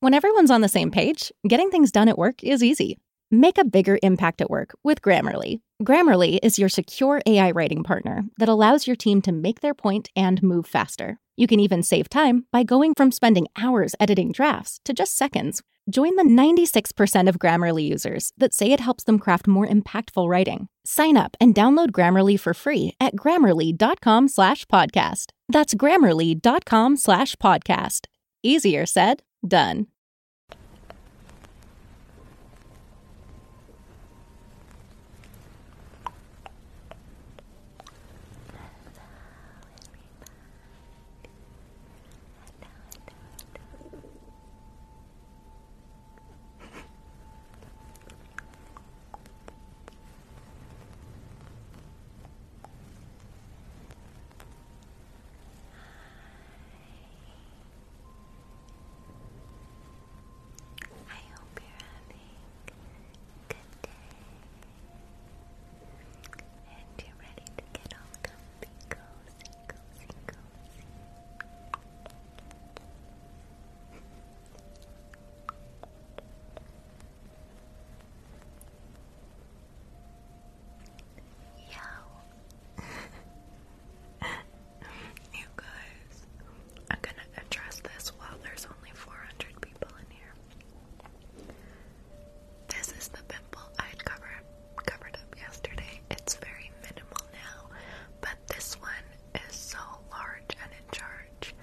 When everyone's on the same page, getting things done at work is easy. Make a bigger impact at work with Grammarly. Grammarly is your secure AI writing partner that allows your team to make their point and move faster. You can even save time by going from spending hours editing drafts to just seconds. Join the 96% of Grammarly users that say it helps them craft more impactful writing. Sign up and download Grammarly for free at grammarly.com slash podcast podcast. That's grammarly.com slash podcast. Easier said, done. I hope you're having a good day and you're ready to get all comfy, cozy, cozy, cozy. Yo. you guys, I'm gonna address this while there's only 400 people in here. This is the pimple I'd cover, covered up yesterday. It's very minimal now, but this one is so large and in charge,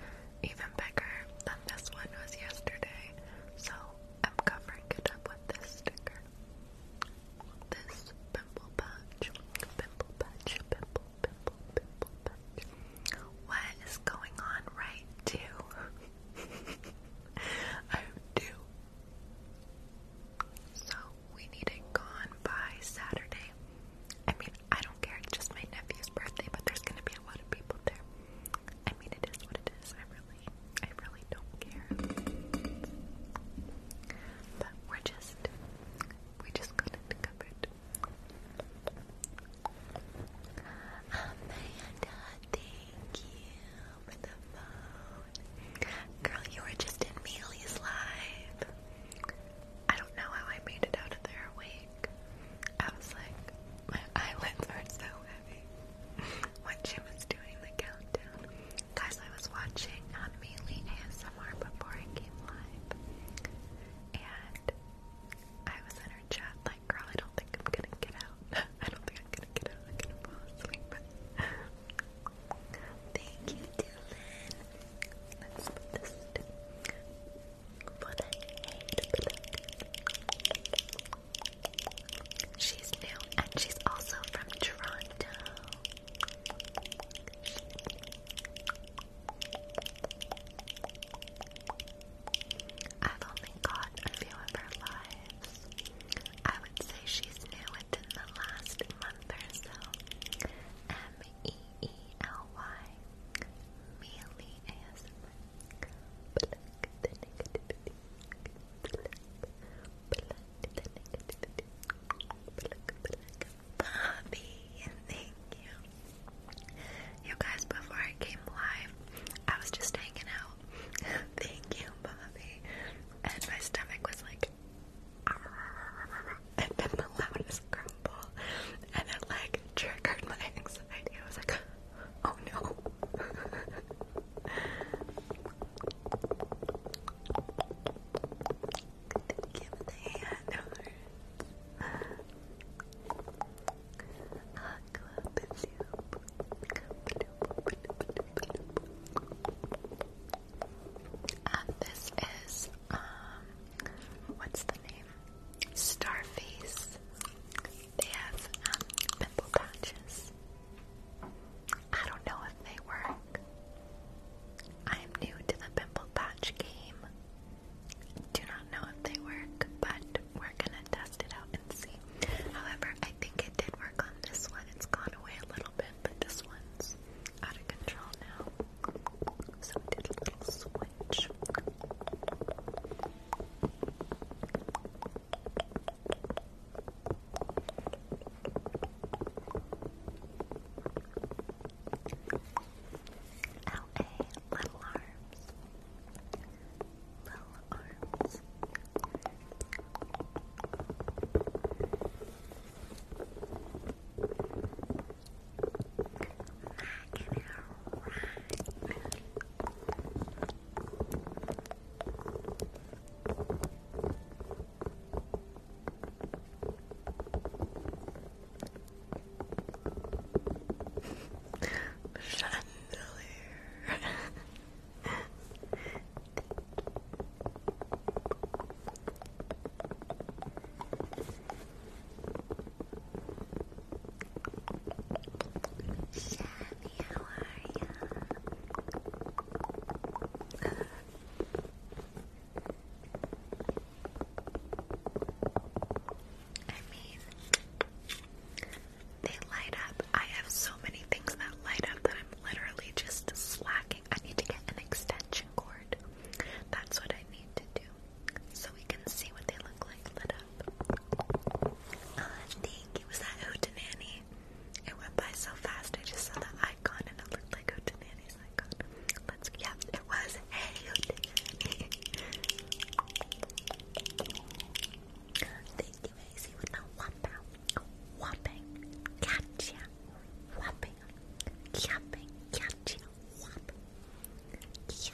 even bigger than this one was yesterday. So I'm covering it up with this sticker. This pimple patch, pimple patch, pimple, pimple, pimple patch. What is going on right too? I do. So we need it gone by Saturday. I mean, I don't care, it's just my nephew's birthday, but there's gonna be a lot of people there. I mean, it is what it is. I really, I really don't care. But we're just, we just got it covered. Amanda, thank you for the phone. Girl, you were just in Melia's live. I don't know how I made it out of there awake. I was like, my eyelids are so when she was doing the countdown. Guys, I was watching on Mealy ASMR before I came live. And I was in her chat like, girl, I don't think I'm gonna get out. I don't think I'm gonna get out. I'm gonna fall asleep. Thank you, Dylan. Let's put this down. But I She's new and she's also from Toronto. I've only got a few of her lives. I would say she's new within the last month or so. M E E L Y. Mealy ASMR. Bobby, thank you. You guys, before I came live, I was just hanging out. thank you, Bobby. And my stomach was like, and then the loudest grumble, and it like triggered my anxiety. I was like, oh no. Give the handlers Aqua soup. And this is um what's the name? Starface. They have um, pimple patches. I don't know if they work. I am new to the pimple patch game. Do not know if they work, but we're gonna test it out and see. However, I think it did work on this one. It's gone away a little bit, but this one's out of control now. So did a little switch. L.A. Little Arms Little Arms Mac and Chandelier. Chandelier how are ya? I mean, they light up. I have so many things that light up that I'm literally just slacking. I need to get an extension cord. That's what I need to do so we can see what they look like lit up. Uh, thank you. Was that Hootenanny? It went by so fast. I just saw the icon and it looked like Hootenanny's icon. Let's, yeah, it was. Hey, Hootenanny. thank you, Maisie, with the whopper. Whopping. Gotcha. Whopping. Yapping. Gotcha. Whop. Gotcha.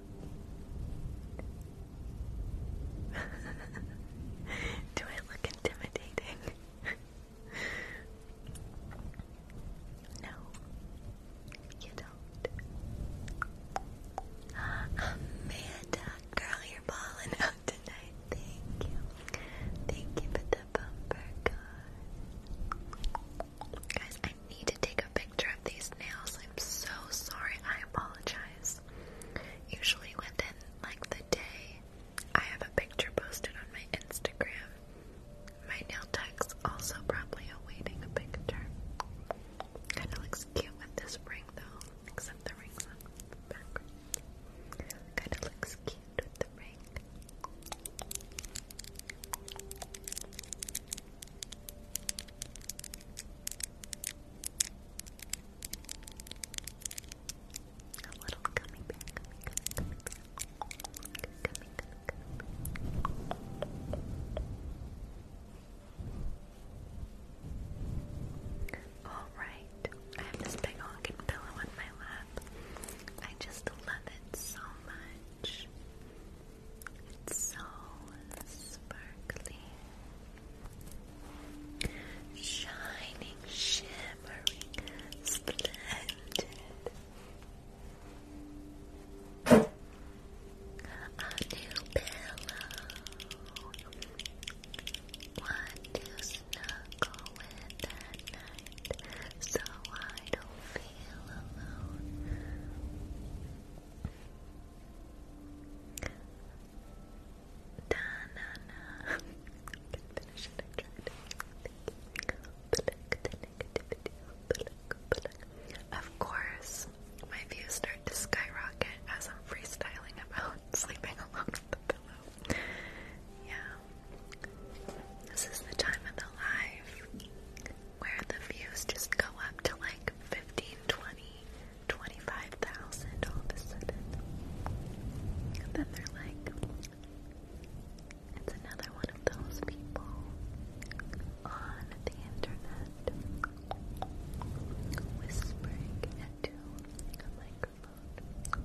Do I look intimidating? no, you don't. Amanda, girl, you're balling out tonight. Thank you. Thank you for the bumper gun. Guys, I need to take a picture of these nails. I'm so sorry. I apologize. Usually within like the day, I have a picture posted on my Instagram. My nail tech's also probably awaiting a picture. Kind of looks cute with this ring though, except the ring's on the Kind of looks cute with the ring. A little gummy bear, Alright, I have this big honking pillow on my lap. I just love it so much. It's so sparkly Shining, shimmering, splendid. A new pillow. One to snuggle with at night so I don't feel alone. Of course, my views start to skyrocket as I'm freestyling about sleeping alone with the pillow. Yeah. This is the time of the life where the views just go up to like 15, 20. 25,000 all of a sudden. And then they're like, it's another one of those people on the internet whispering into a microphone.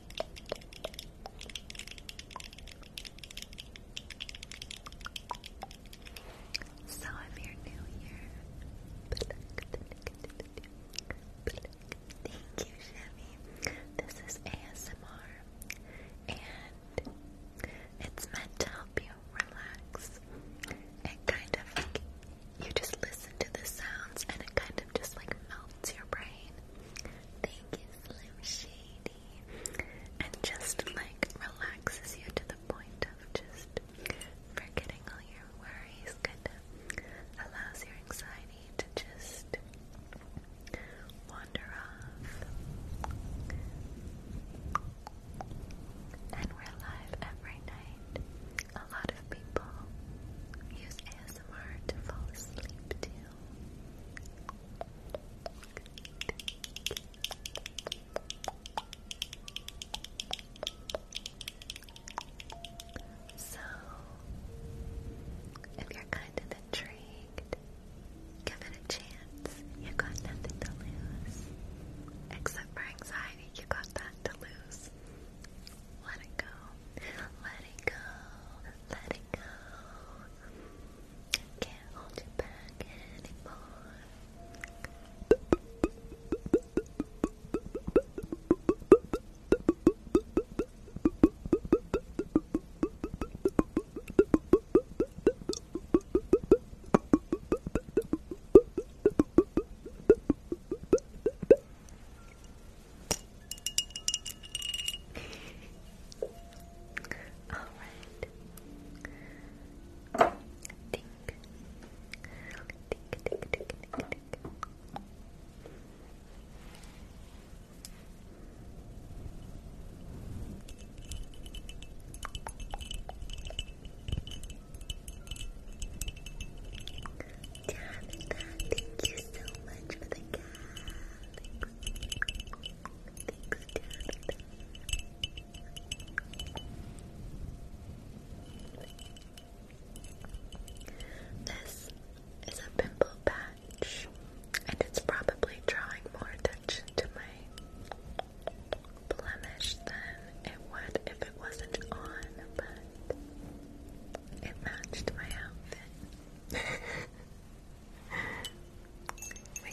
So if you're new here, thank you, Chevy. This is ASMR, and it's meant to help you relax. It kind of like you just listen to the sounds, and it kind of just like melts clouds your brain. Thank you, Slim Shady. And just like relaxes you to the point of just forgetting all your worries, kind of allows your anxiety to just wander off. And we're live every night. A lot of people use to fall asleep So, if you're kind of intrigued, give it a chance. You got nothing to lose. Except for anxiety, you got that to lose. Let it go. Let it go. Let it go. Can't hold you back anymore. Alright. Ding. Ding, ding, ding, ding, ding. Tabitha, thank you so much for the cat. This is a pimple patch, and it's probably drawing more attention to my blemish than it would if it wasn't on, but it matched my outfit. we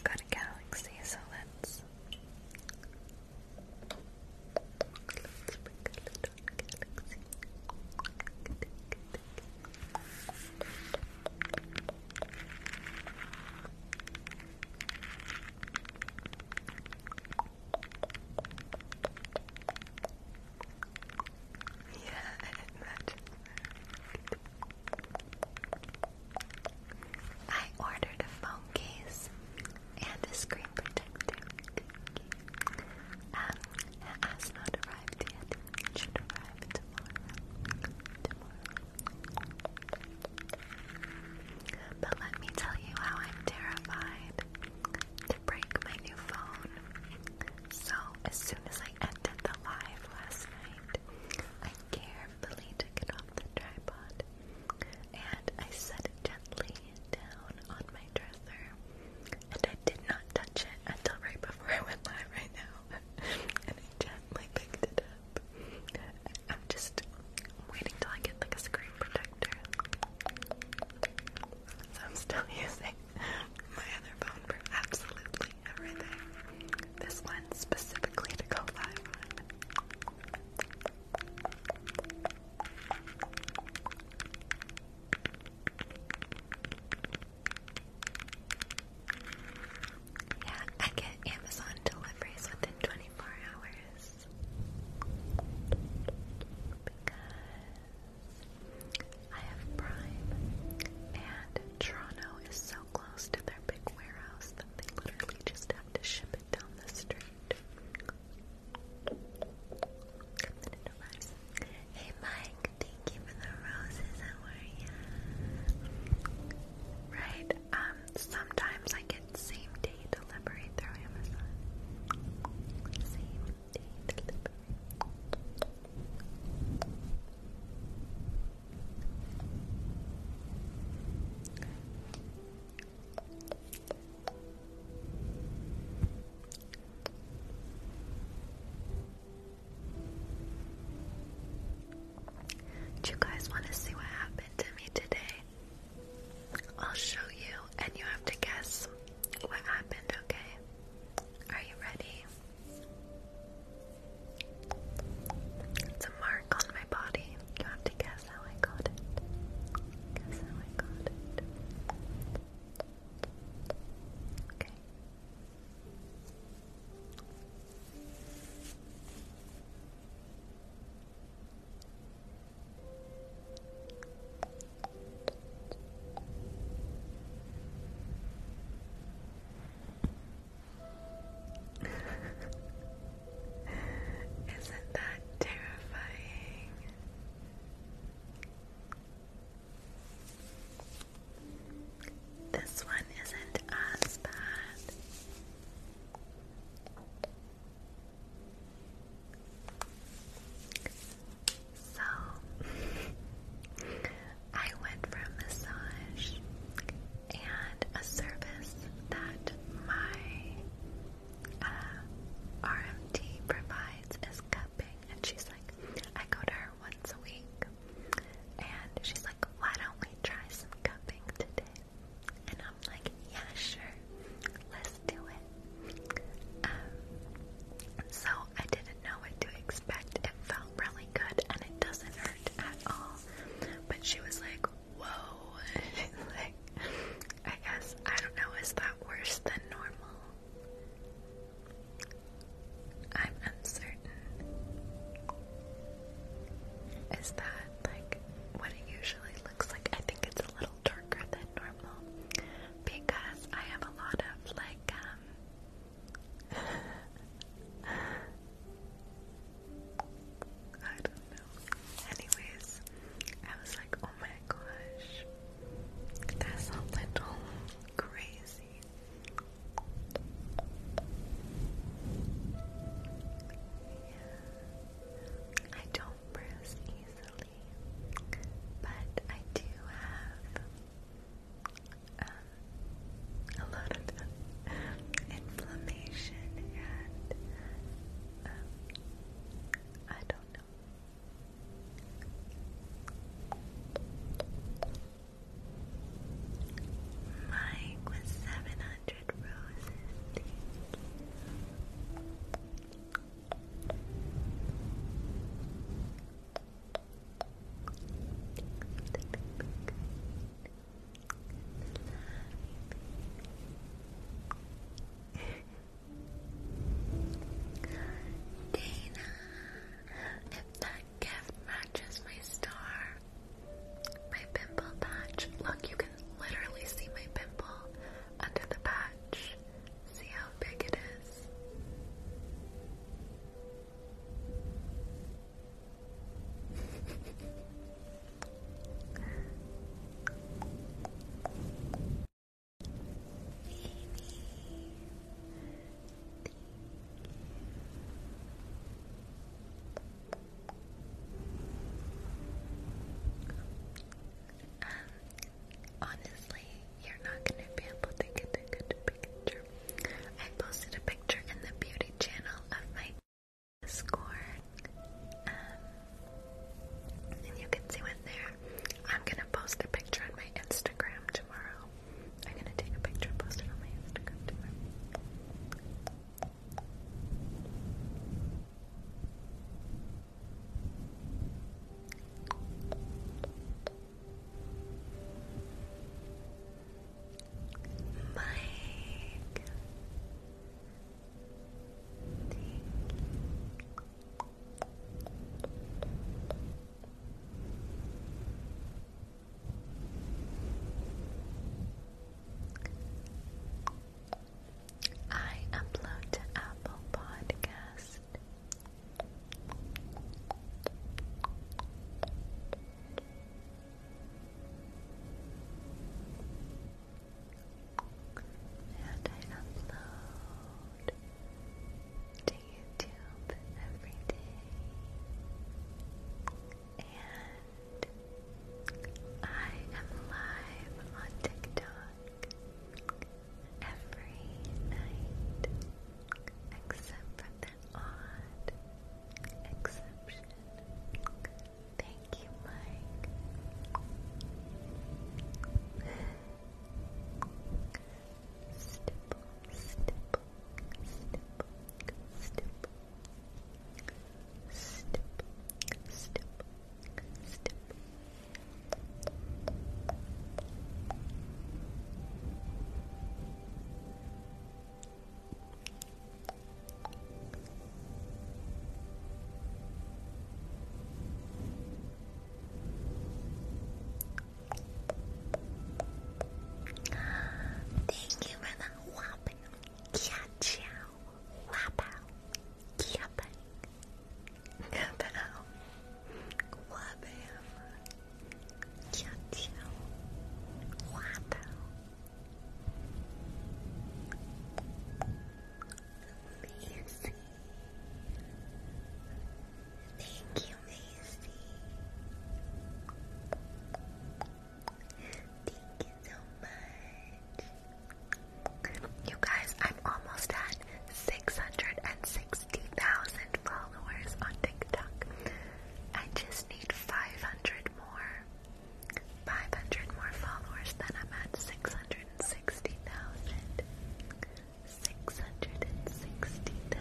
got a galaxy, so let's let's bring a little galaxy. Good, yeah, I ordered a phone case and a screen protector. Um, has not arrived yet. should arrive Tomorrow. But let me tell you how I'm terrified to break my new phone. So, as soon as I ended the live last night, I carefully took it off the tripod and I set it gently down on my dresser. And I did not touch it until right before I went live right now. and I gently picked it up. I'm just waiting till I get like a screen protector. So I'm still using my other phone for absolutely everything. This one specifically to go live Yeah, I get Amazon deliveries within 24 hours. Because I have Prime, and Toronto is so close to their big warehouse that they literally just have to ship it down the street. Hey Mike, thank you for the roses, Right, um, sometimes I get same day delivery through Amazon. Do you guys want to see what happened to me today? I'll show you, and you have to guess what happened, okay? Are you ready? It's a mark on my body. You have to guess how I got it. Guess how I got it. Okay. Isn't that terrifying? This one isn't as bad. So I went for a massage and a service that my uh, RMT provides is cupping. And she's like, I go to her once a week. And she's like, why don't we try some cupping today? And I'm like, yeah, sure. Let's do it. Um, so I did know what to expect. It felt really good and it doesn't hurt at all. But she was like, whoa. like, I guess, I don't know, is that worse than normal? I'm uncertain. Is that like what it usually looks like? I think it's a little darker than normal because I have a lot of like um I don't know. Anyways, I was like, oh my gosh, that's a little crazy. Yeah. I don't bruise easily, but I do have um, a lot of inflammation and um, I don't know. Mike with 700 roses. Thank you. Dana, if that gift matches my star, my pimple patch. Look, you can literally see my pimple under the patch. See how big it is. Um, honestly, you're not gonna be able to get a good picture. I posted a picture in the beauty channel of my score, um, and you can see it there. I'm gonna post a picture on my Instagram tomorrow. I'm gonna take a picture and post it on my Instagram tomorrow. Mike. Thank you. I upload to Apple Podcast and I upload to YouTube every day. And I am live on TikTok every night except for that odd exception. Thank you, Mike. Stipple, stipple, stipple, stipple. Stipple, stipple, stipple. Stipple, Thank you for the whopper. Yeah, chow. Whopper. Yeah, bang. Yeah, bang. 悄悄滑倒，Macy. Thank you, Macy. Thank you so much. You guys, I'm almost at 660,000 followers on TikTok. I just need 500 more. 500 more followers, then I'm at 660,000. 660,000.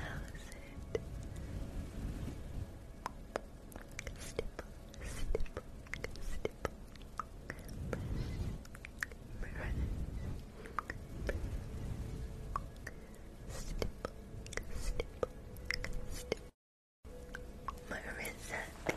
Stipple, stipple, stipple. Marissa, thank you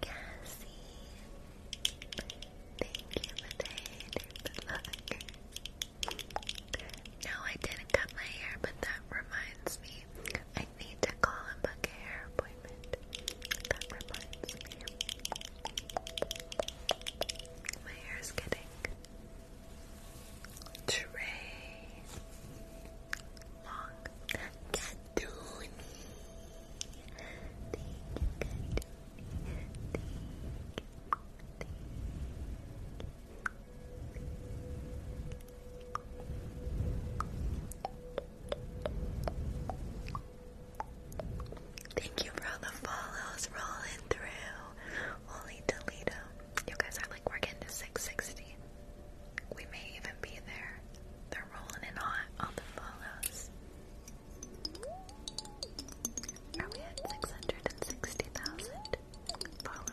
Cassie, thank you for the look. No, I didn't cut my hair, but that reminds me. I need to call and book a hair appointment. That reminds me. My hair is getting Trey Long Katuni. Thank you, for all the follows rolling through. Holy Toledo. You guys are like, we're getting to 660. We may even be there. They're rolling in hot on the follows. Are we at 660,000 followers?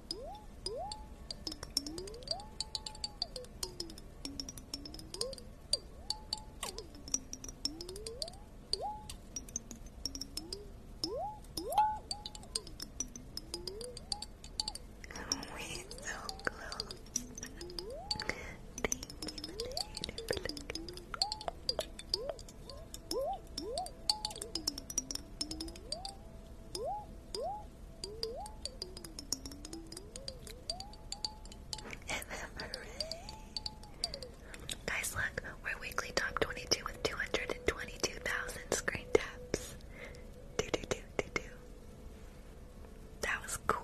We're so close. Thank you, Leonard, Guys, look, we're weekly top 22 with 222,000 screen taps. Do, do, do, do, do. That was cool.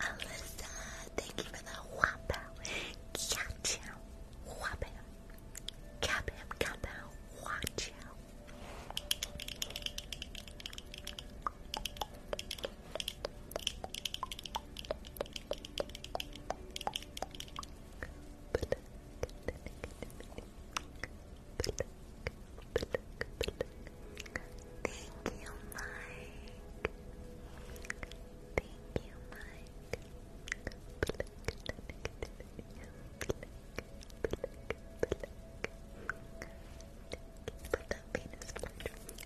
Alyssa, thank you for the whop out. Catch out. Whop out. Cap him, Watch out. Thank you, Mike. Thank you, Mike.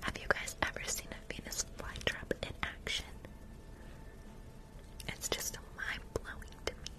Have you guys ever seen a Venus flytrap in action? It's just mind blowing to me.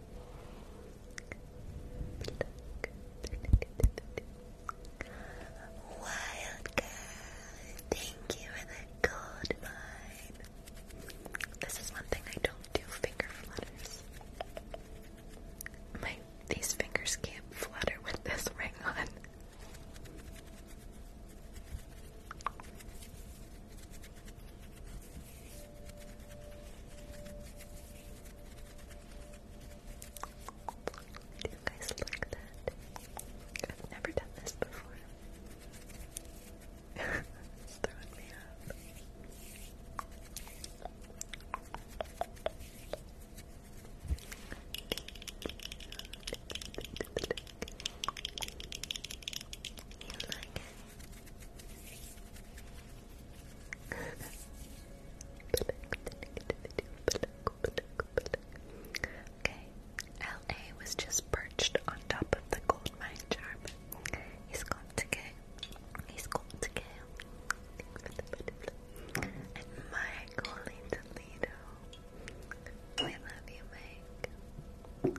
Wildcat, thank you for the gold vibe. This is one thing I don't do finger flutters. My these fingers can't flutter with this ring on. Do you guys like that? I've never done this before. it's throwing me up. You like it? Okay, L.A. was just perched on top of the gold mine charm. He's got to get. He's to go. And Michael in Toledo. We love you, Mike.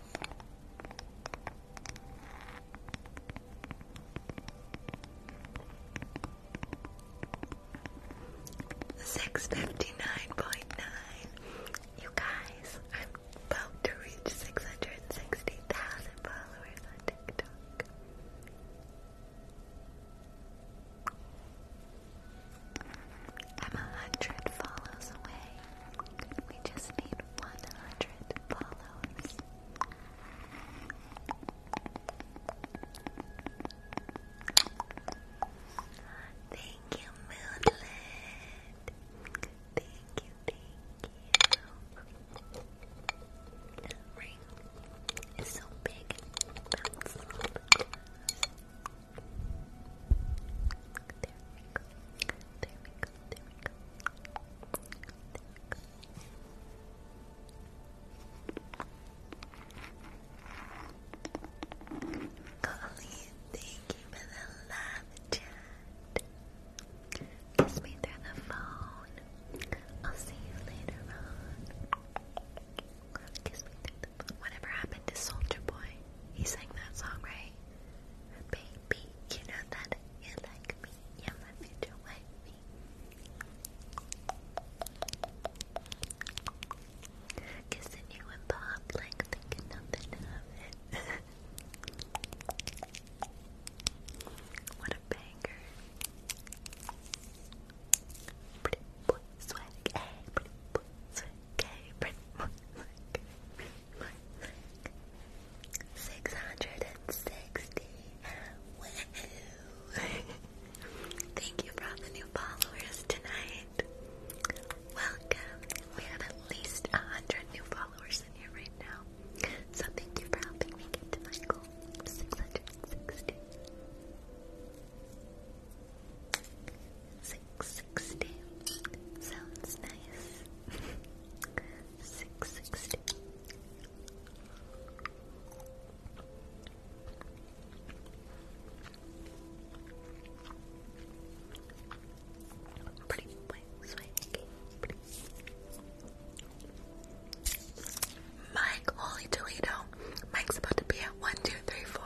Six fifty nine point nine. You guys, I'm about to reach six hundred and sixty thousand followers on TikTok. I'm a hundred follows away. We just need 100 follows. Thank you, Moonlit. Thank you, thank you. ring is so big go. thank you for the love chat. Kiss me through the phone. I'll see you later on. Kiss me through the phone. Whatever happened to Soldier Boy? He sang that song, right? Baby, you know that you like me. You're my future wifey. Kissing you in public, thinking nothing of it. what a banger. Pretty boy swag, hey, pretty boy swag, pretty boy swag, hey, Six hundred and sixty. Thank you for all the new followers tonight. Welcome. We have at least a hundred new followers in here right now. thank you for helping me get to my goal. Six hundred and sixty. 660 660 sounds nice. 660. Mike, holy Toledo. Mike's about to be at one, two, three, four.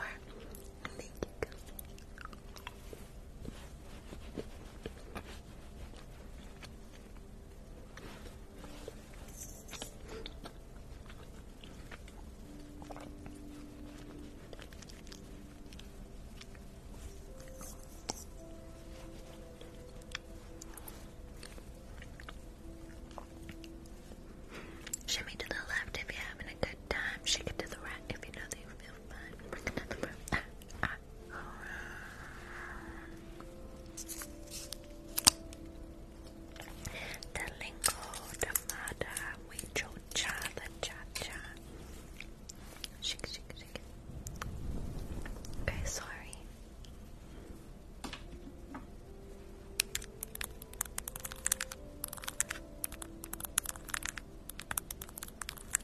Shimmy to the left if you're having a good time. Shake it to the right if you know that you feel the lingo, the mada, we cha, the cha cha. Shake, shake, shake. Okay, sorry.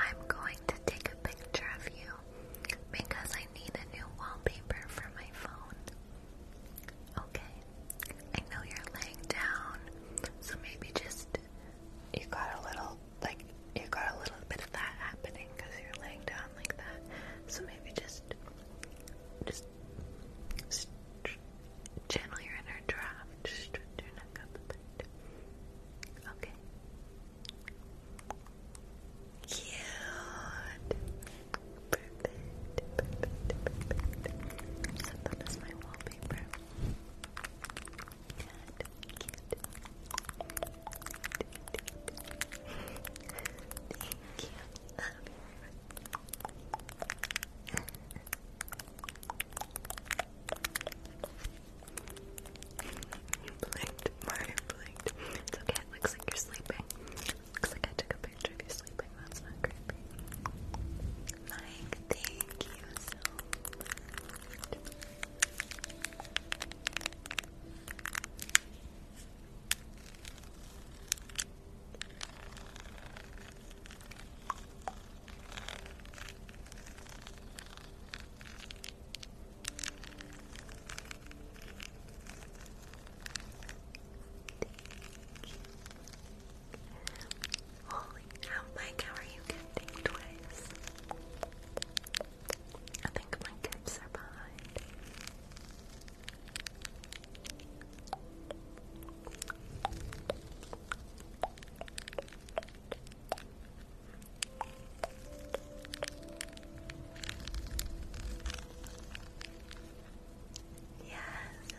I'm going to take a picture of you because I need a new wallpaper for my phone. Okay. I know you're laying down, so maybe just you got a little like you got a little bit of that happening because you're laying down like that. So maybe just just, just channel your inner draft. Just stretch your neck up a bit. Okay. Cute. Perfect, perfect, perfect. Set that as my wallpaper. Good, cute. Thank you. Love you. blinked, Mario blinked. It's okay, looks like you're sleeping. Looks like I took a picture of you sleeping. That's not creepy. Mike, thank you so much. Thank you. Holy Mike, how are you I think my kids are behind. Yes,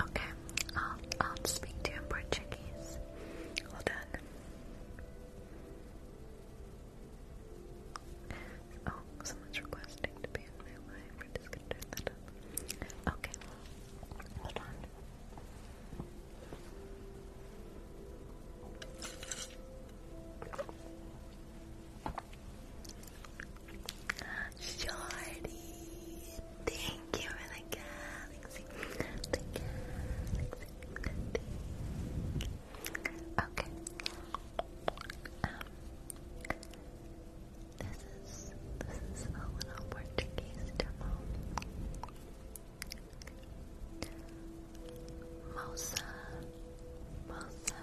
Okay, I'll, I'll speak to you in Portuguese. Hold on. Oh, someone's requesting to be in my life. We're just gonna turn that up. Okay, hold on. Shorty, thank you for the cat. Lexi, Okay. Um, this is this is a little Portuguese demo. Moça, moça,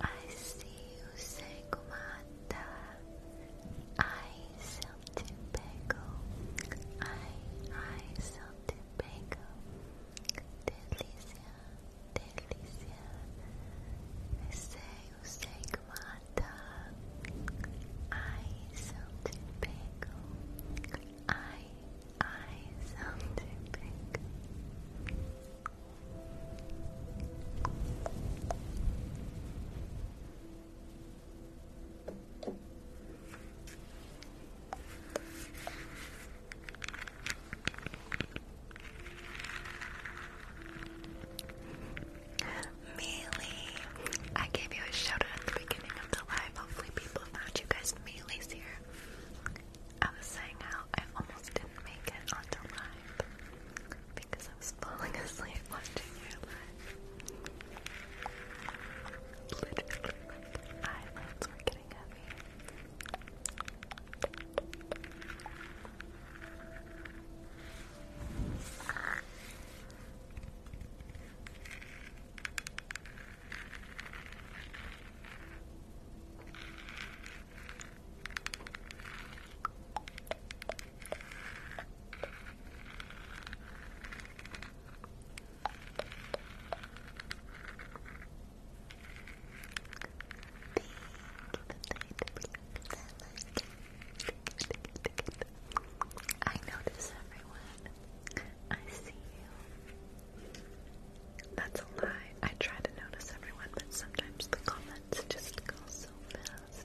I see you say comata. I say of Tobago, I, eyes of delícia, delícia, receio, sei que mata, eyes of Tobago, I, eyes of Tobago. Mealy. I gave you a shout at the beginning of the live. Hopefully, people found you guys. Mealy's here. I was saying how I almost didn't make it on live because I was falling asleep watching your live. Literally, my eyelids were getting heavy. I notice everyone. I see you. That's a lie. I try to notice everyone, but sometimes the comments just go so fast.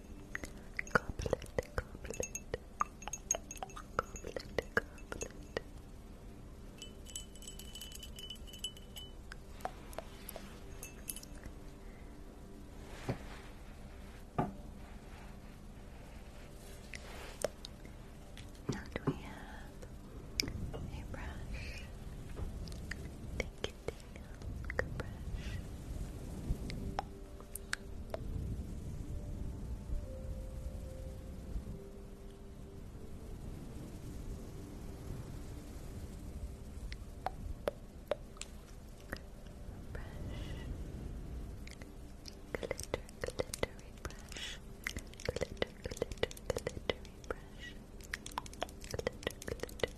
Goblet, goblet. Goblet, goblet. Now do we have a brush? Thank you, Silk brush. Brush. Glitter, glittery brush. Glitter, glitter, glittery brush. Glitter, glitter,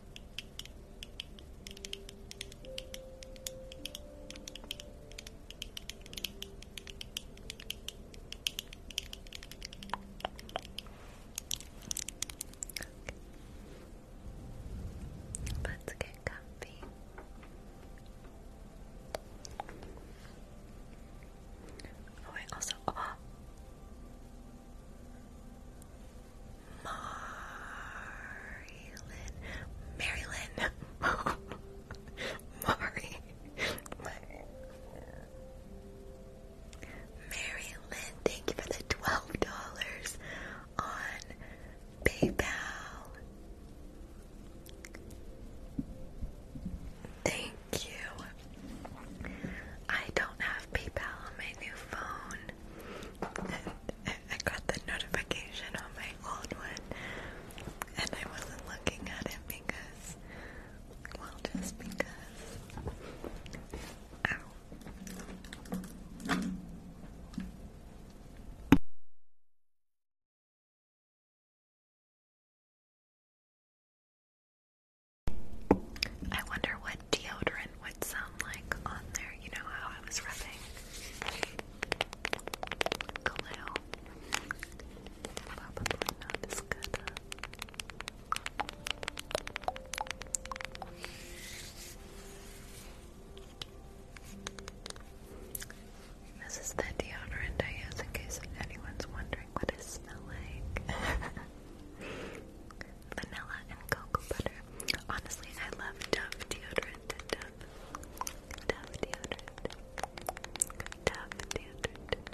Let's get comfy. Oh, I also. Oh. Marilyn. Marilyn. Mari. Marilyn, thank you for the twelve dollars on PayPal. Thank you. I don't have PayPal on my new phone. I, got the notification on my old one, and I wasn't looking at it because, well, just because. I wonder what deodorant siren would sound like on there. You know how I was rubbing Probably not as good. This is the deodorant I use in case anyone's wondering what it smells like. vanilla, and cocoa butter. Honestly, I love Dove deodorant. Dove, Dove deodorant. Dove deodorant.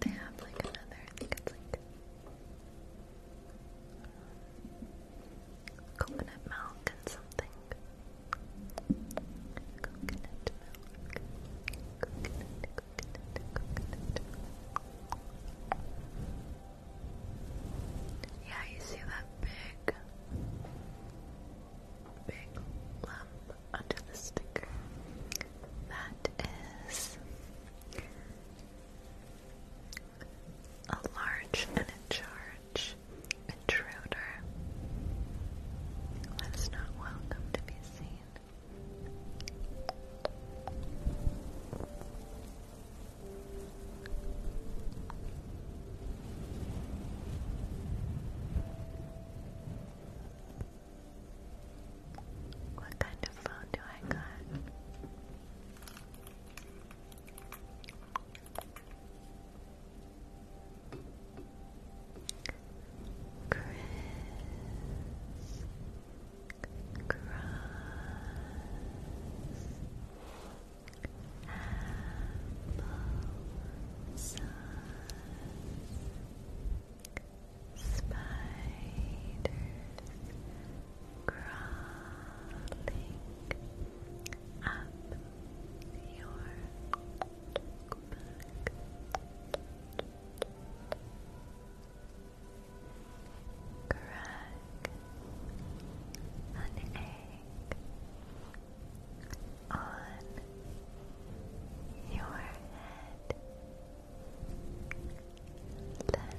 They have like another, I think it's like coconut milk and something. Coconut milk. Yeah, you see that big, big lump under the sticker? That is a large and a charge intruder. That's not welcome to be seen. What kind of phone do I got? Chris Cross Spiders crawling up your back Crack an egg on your head. Let the yolk drip down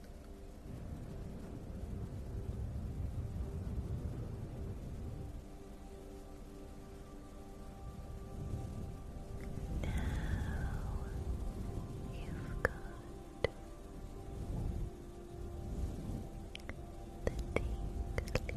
Now you've got the tinglies.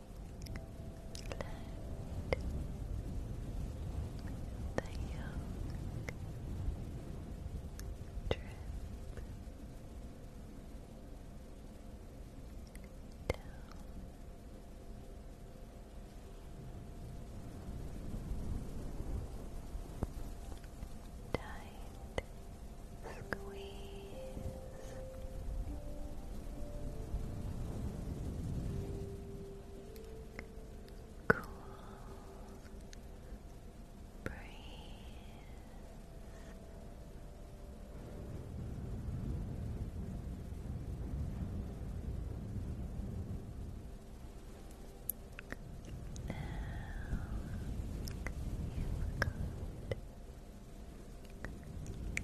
the yolk drip down. Tight squeeze Cool breeze. Now you've got Chris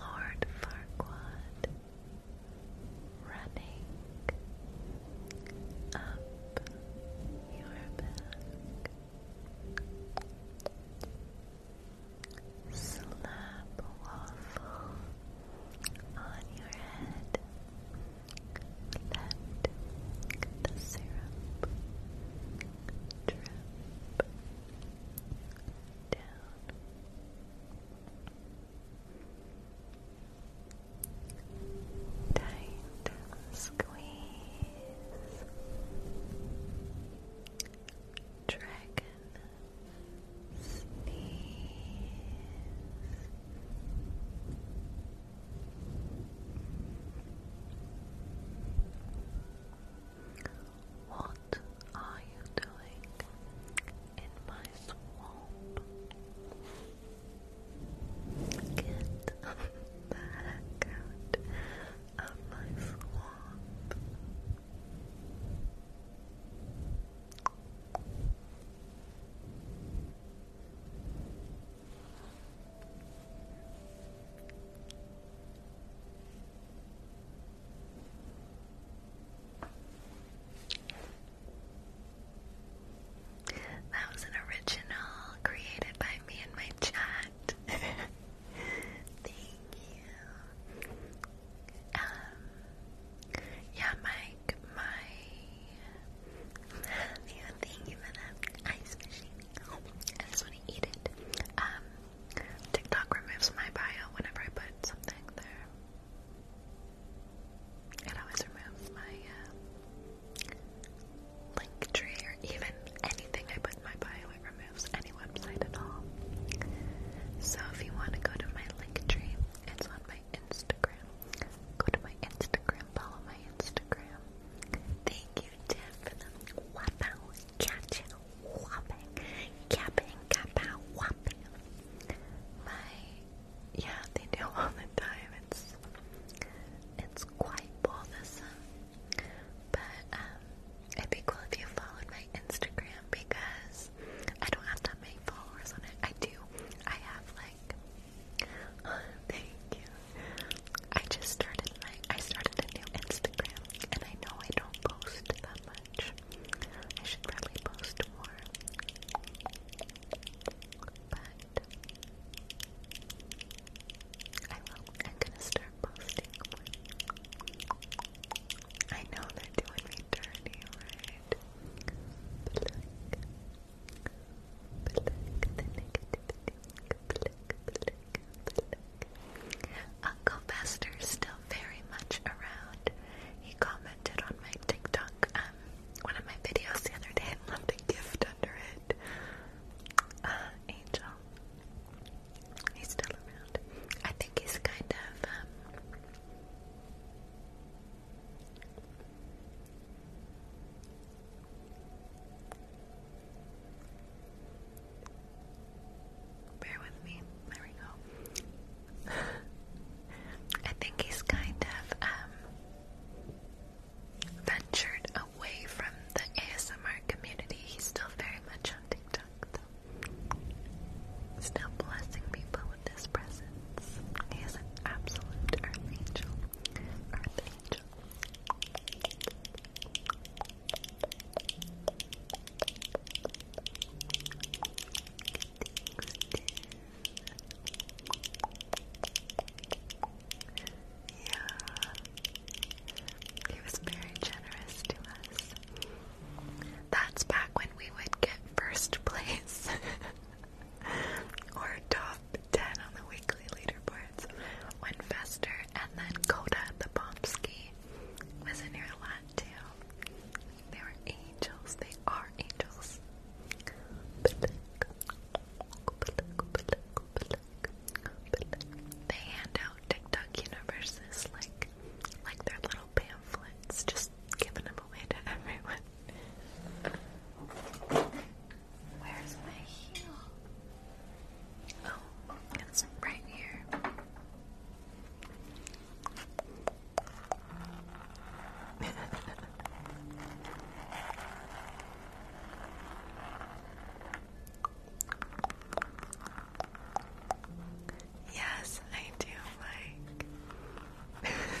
Lord Farquaad running up your back. Slap waffle on your head. Let the syrup drip down Tight squeeze. Dragon sneeze. What are you doing in my swamp? Get the heck out of my swamp. That was an original created by me and my chat. Thank you. Um, yeah, Mike, my. Thank you for the ice machine. I just want to eat it. Um, TikTok removes my bio whenever I put something there. It always removes my uh, link tree or even anything I put my bio. It removes any website at all. So if you want to go to my link tree, it's on my Instagram. Go to my Instagram, follow my Instagram. Thank you, Tiff, for the wow, whopping, yapping, kapow, whopping. My, yeah, they do all the time. It's, it's quite bothersome. But um, it'd be cool if you followed my Instagram because I don't have that many followers on it. I do. I have like. thank you. I just started my. I started a new Instagram, and I know I don't post that much. I should probably post more. But I am gonna start posting I know they're doing me dirty, right? Uncle Buster's still very much around. He commented on my TikTok, um, one of my videos the other day and left a gift under it. Uh, Angel. He's still around. I think he's kind of, um, Bear with me. There we go. I think he's kind of um, ventured away from the ASMR community. He's still very much on TikTok, Still blessing people with his presence. He is an absolute angel. angel. Yeah. He was very generous to us. That's back when we would get first place or top 10 on the weekly leaderboards when Fester and then Coda the Bombski was in your lot too. They are angels. They are angels. They hand out TikTok universes like like their little pamphlets, just giving them away to everyone. Where's my heel? Oh, it's right here yes, I do, like.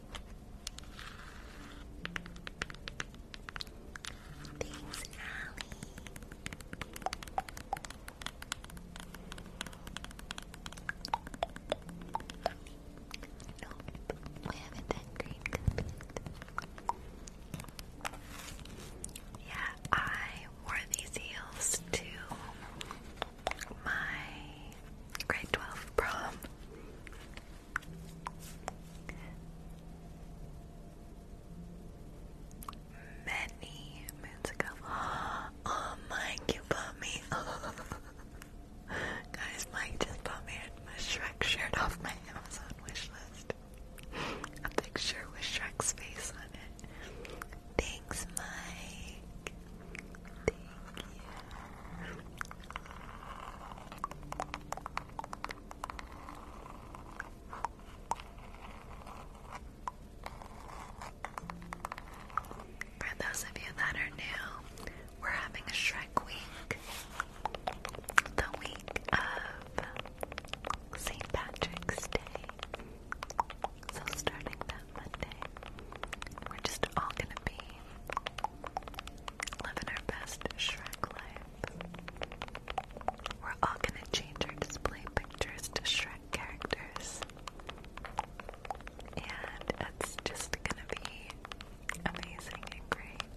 Thanks, Allie. No, we haven't done green Yeah, I wore these heels to my grade 12 prom. Many moons ago. Oh, Mike, you bought me. Guys, Mike just bought me a Shrek shirt off my Amazon wish list. A picture with Shrek's face on it. Thanks, Mike. Thank you. For those of you that are new, we're having a Shrek week. The week of St. Patrick's Day. So starting that Monday, we're just all gonna be Living our best Shrek life. We're all gonna change our display pictures to Shrek characters. And it's just gonna be amazing and great.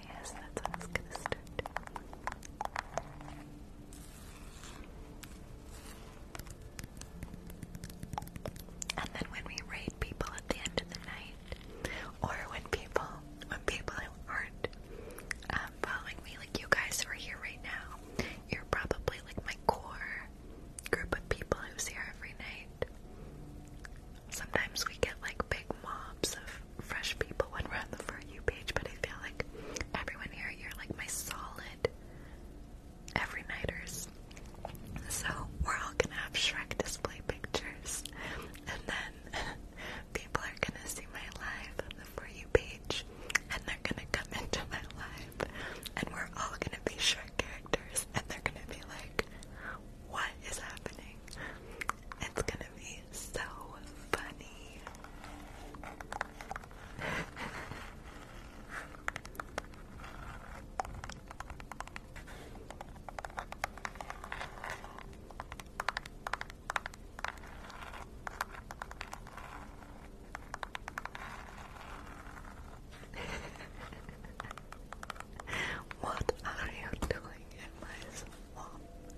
yes, that's how And then when we raid people at the end of the night, or when people, when people aren't um, following me, like you guys who are here right now, you're probably like my core group of people who's here every night. Sometimes we get like big mobs of fresh people when we're on the For You page, but I feel like everyone here, you're like my solid every nighters. So we're all gonna have Shrek display pictures, and then people are gonna see my life on the For You page, and they're gonna come into my life, and we're all gonna be Shrek characters, and they're gonna be like, what is happening? It's gonna be be so funny. what are you doing in my swamp?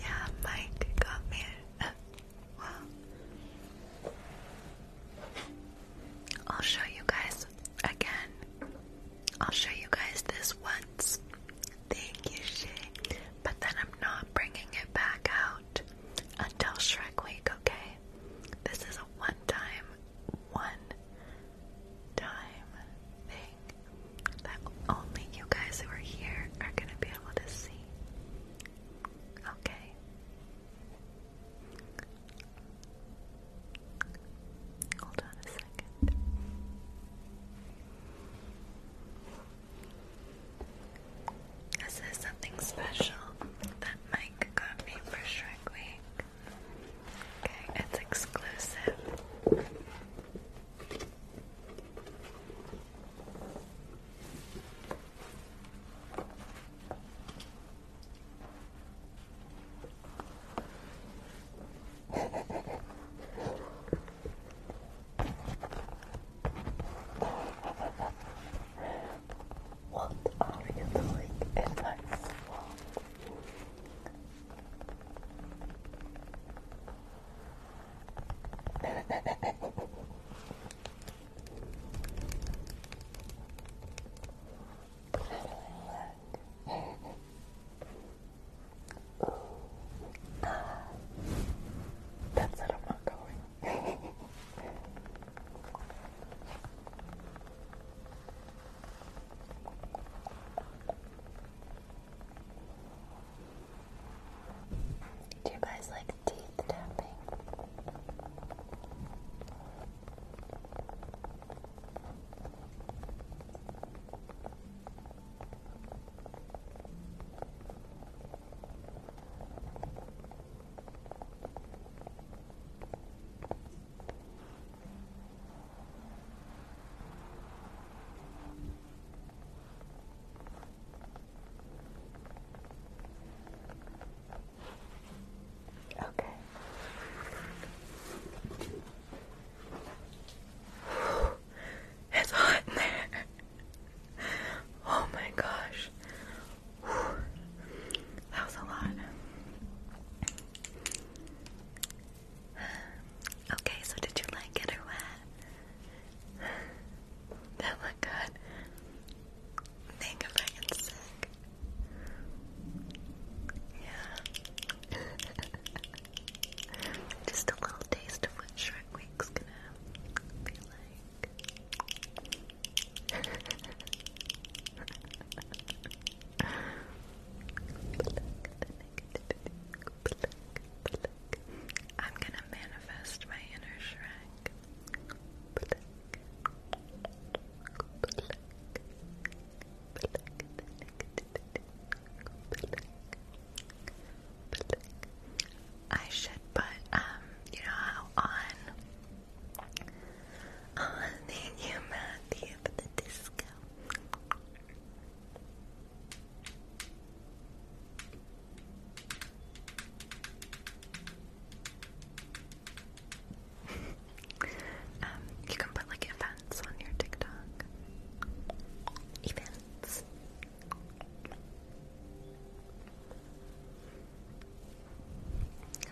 Yeah, Mike got me. well, I'll show you guys again. I'll show you guys this once. Thank you, Shay. But then I'm not bringing it back out until Shrek Week, okay? This is a one time, one time thing that only you guys who are here are gonna be able to see. Okay. Hold on a second. This is something special that Mike got me for Shrek Week. Okay, it's exclusive. What are you doing in my swamp? Ooh, ah, that's it, I'm not going. Do you guys like teeth tapping? Okay. It's hot in there. Oh my gosh. That was a lot. Okay, so did you like it or what? That looked good. Think of it sick. Yeah. Just a little taste of what Shrek Week's gonna be like. I'm gonna manifest my inner Shrek. I should put, um, you know how on, on the humanity of the disco, Um, you can put like events on your TikTok. Events.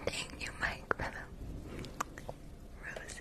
Thank you, Mike, for roses.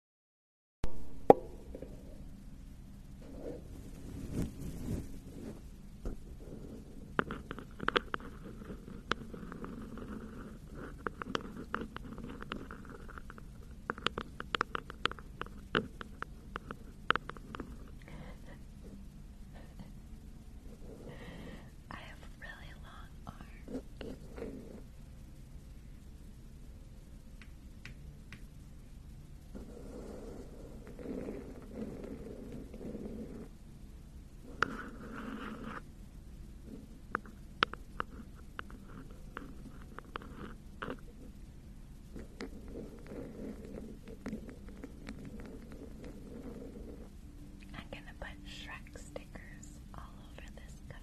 I have really long arms. I'm going to put Shrek stickers all over this cup.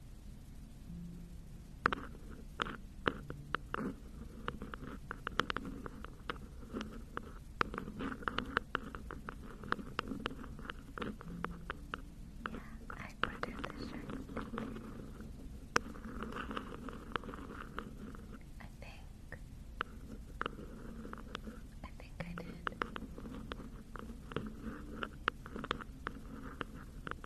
I put the shirt. I think. I think I did.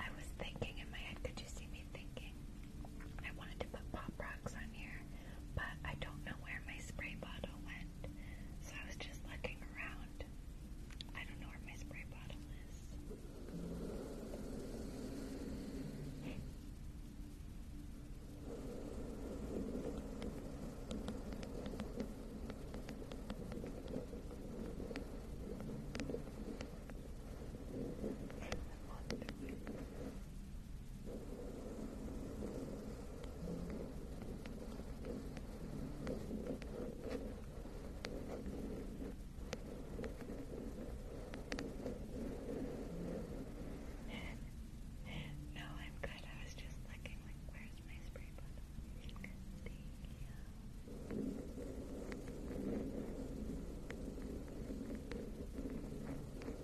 I was thinking in my head, could you see me thinking? I wanted to put pop rocks on here but I don't know where my spray bottle went. So I was just looking around. I don't know where my spray bottle is. no, I'm good. I was just looking like where's my spray bottle? Thank you.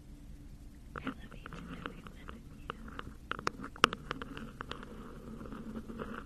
I love each and every one of you.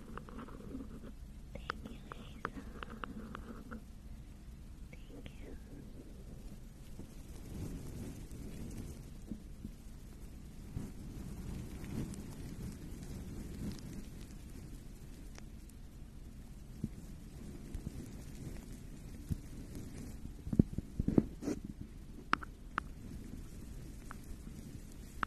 Thank you, Hazel. Thank you.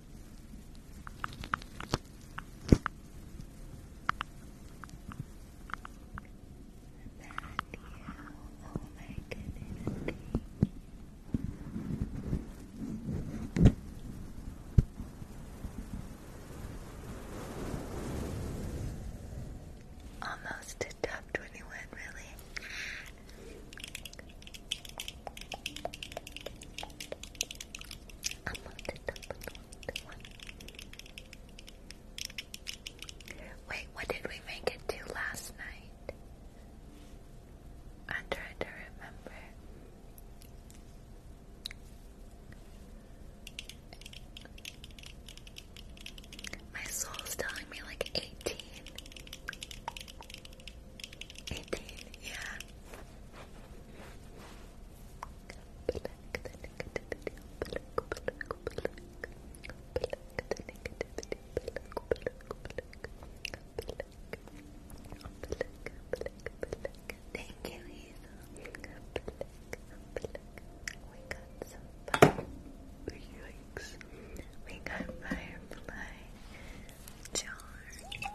Oh my goodness. Almost a top 21, really. Wait, what did we make it to last night? I'm trying to remember. My soul's telling me like 18. yeah. Thank you, We got some fire. Yikes. We got firefly jar.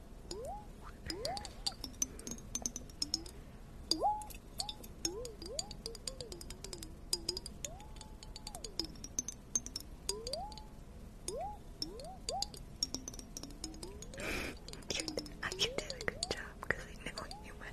You, I you did a good job because I know you went.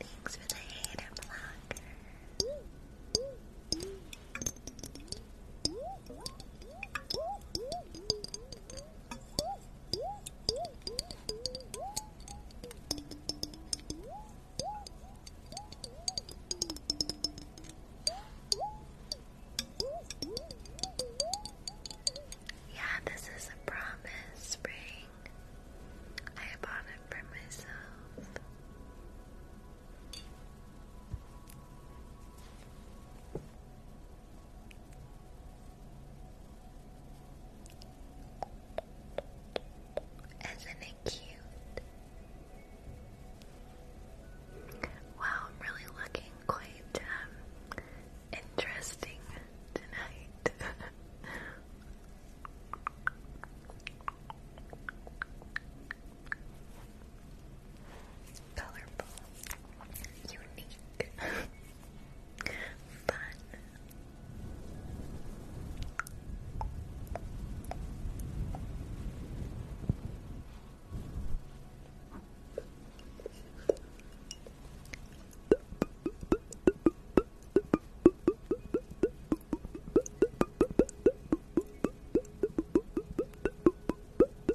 Thanks for the hater blocker. Yeah, this is a promise, spring. I bought it for myself. Isn't it cute? Wow, I'm really looking quite um, interesting tonight. colorful, unique, fun.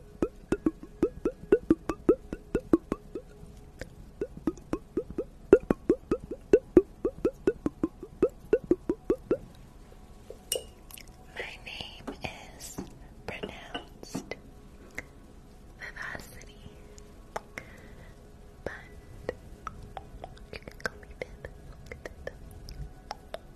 My name is pronounced Vivacity, but you can call me Viv.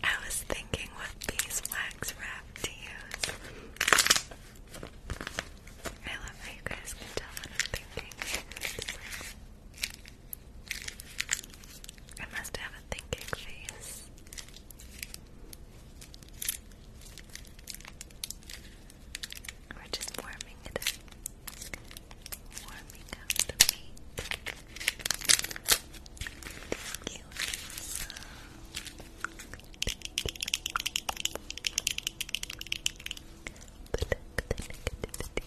I was thinking what beeswax wrap to use. I love how you guys can tell what I'm thinking. I must have a thinking face. We're just warming it Warming up the meat. Thank you, Lisa. Thank you. Black, the negativity.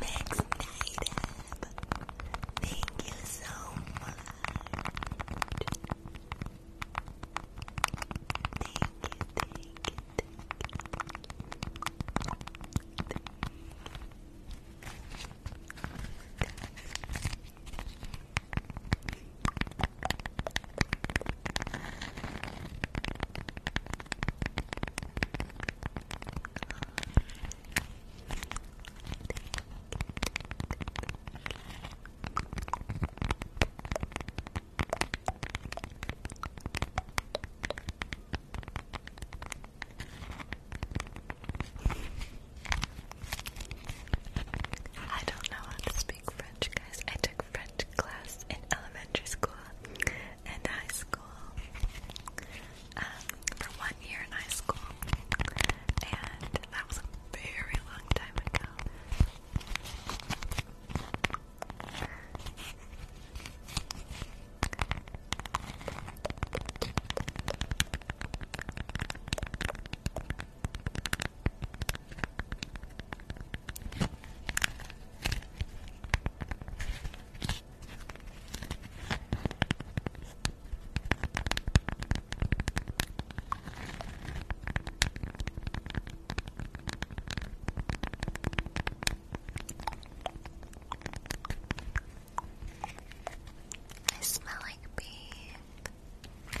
Max thank you so much. thank you, thank you. Thank you. I don't know how to speak French, guys. I took French class in elementary school and high school um, for one year in high school, and that was a very long time ago. I smell like beef. Oh,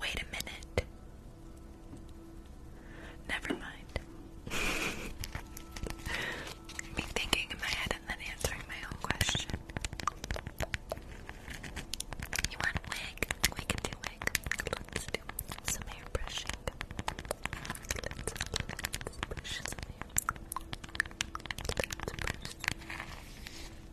Wait a minute. Never mind. Me thinking in my head and then answering my own question. You want wig? We can do wig. Let's do some hair brushing. Let's, brush some hair. Let's brush.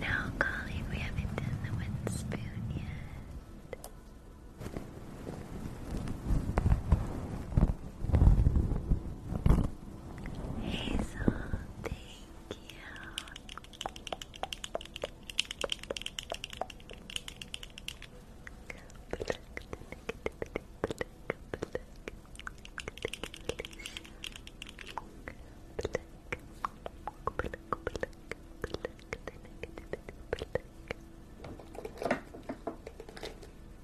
Now, Colleen, we haven't done the wind spoon yet. Hey, thank you.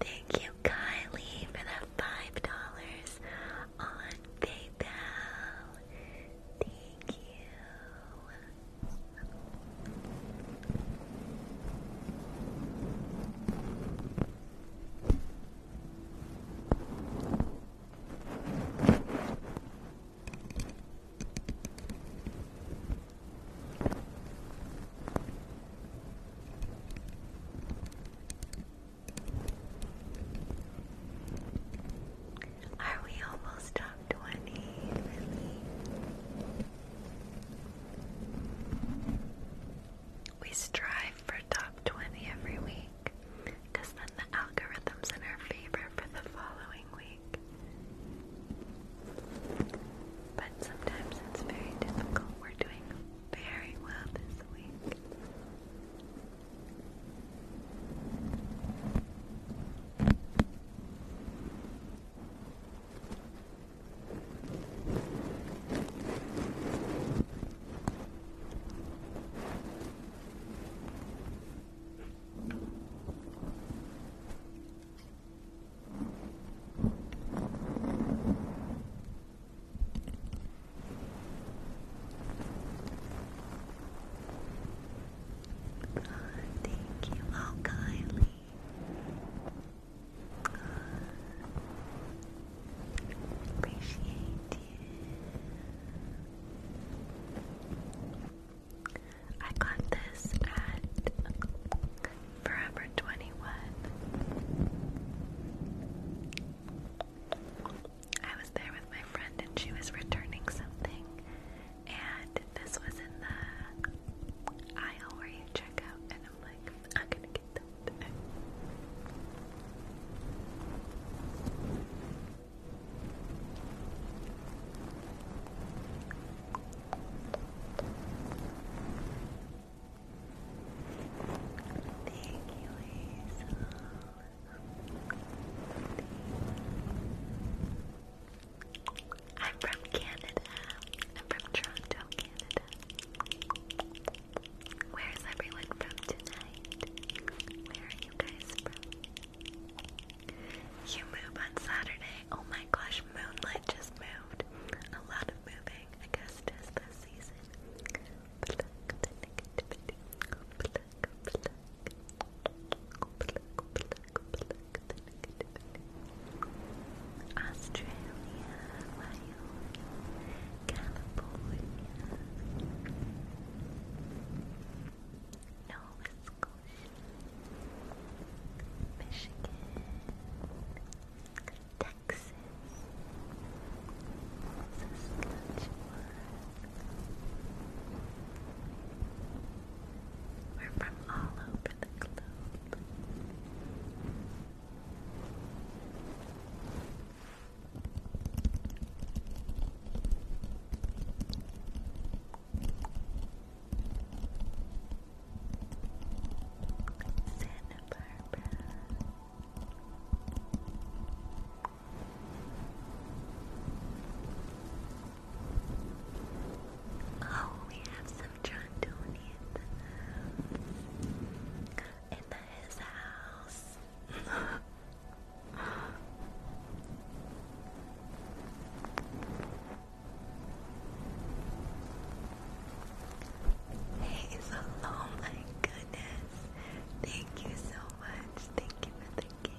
Thank you, Kylie, for the five dollars on PayPal. Thank you. Are we almost top 20? We strive for top 20 every week then the algorithm's in our favor for the following week. But sometimes it's very difficult. We're doing very well this week thank you, oh Kylie. Appreciate you. I got this at Forever 21. I was there with my friend and she was returning something, and this was in the aisle where you check out, and I'm like, I'm gonna Thank you, I'm from Canada. I'm from Toronto, Canada. Where's everyone from tonight? Where are you guys from? You move on Saturday. Oh my gosh, Moonlit just moved. A lot of moving, I guess, just this season. Australia, California, Nova Scotia, Michigan, Texas, Saskatchewan. We're from all over the globe. Santa Barbara. Oh, we have some John Tony in his house. Hey, so my goodness. Thank you so much. Thank you for the cake.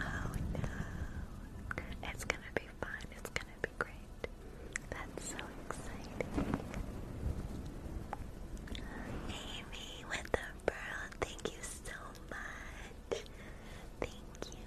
Oh no. It's gonna be fun. It's gonna be great. That's so exciting. Amy with the pearl, thank you so much. Thank you.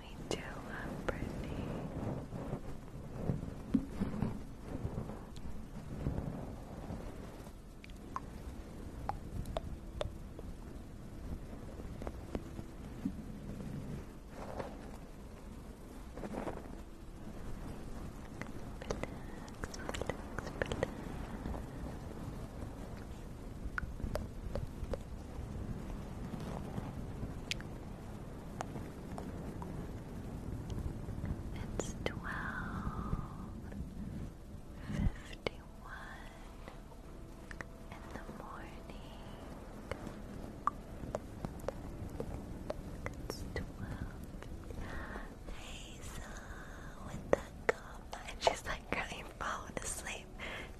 We do love Brittany. It's twelve fifty one in the morning. It's twelve. Hazel with that comment. She's like, girl, you're falling asleep.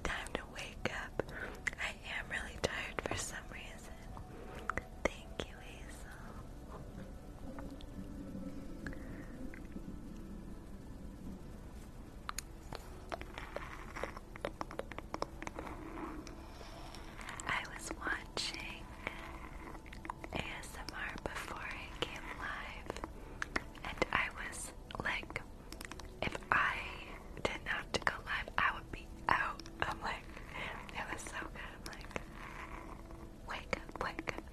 Time to wake up. I am really tired for some reason. Thank you, Hazel. I was watching ASMR before it came live, and I was like, if I didn't go live, I would be out. I'm like, it was so good. Wake up, wake up.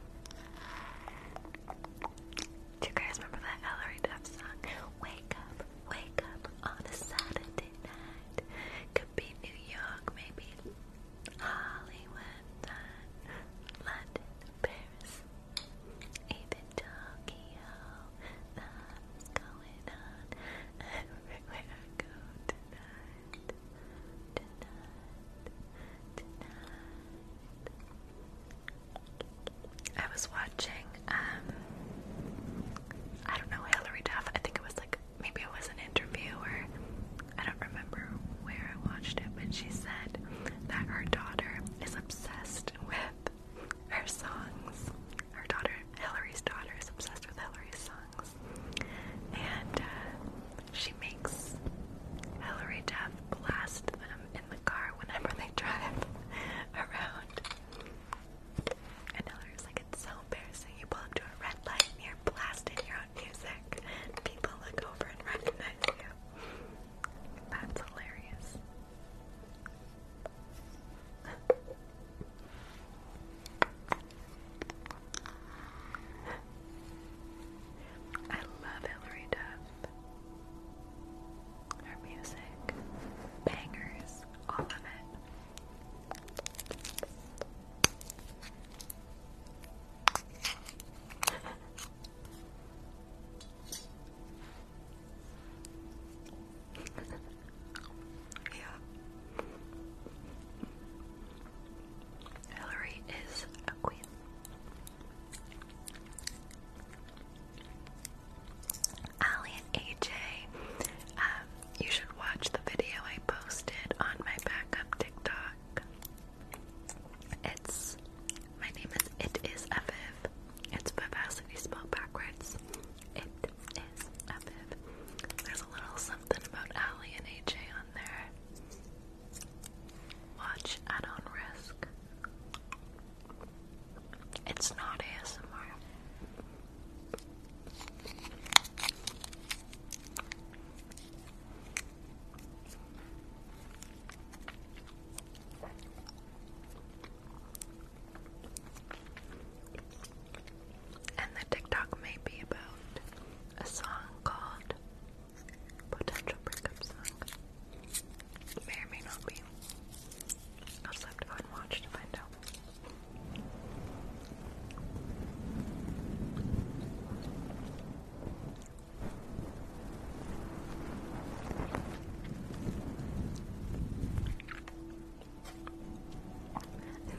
Do you guys remember that Hillary Duff song? Wake up, wake up on a Saturday night. Could be New York, maybe Hollywood, London, Paris, even Tokyo. That's going on everywhere Tonight. I was watching, um, I don't know, Hillary Duff. I think it was like maybe it was an interview or I don't remember where I watched it, but she said that her daughter is obsessed with her songs. Her daughter, Hillary's daughter, is obsessed with Hillary's songs. And uh, she makes Hillary Duff blast them in the car whenever they drive around. And Hillary's like, it's so embarrassing. You pull up to a red light you're blasting your own music. People look over and recognize you. That's hilarious. I love Hillary Duff. Her music, bangers, all of it. yeah. Hillary is a queen. Ali and AJ, um, you should watch the video I posted on my backup TikTok. It's my name is it is Aviv. It's vivacity spelled backwards. It is Aviv. There's a little something about Ali and AJ on there. Watch at on risk. It's not ASMR. And the TikTok may be about a song called potential breakup song. may or may not be. I'll just have to go and watch to find out.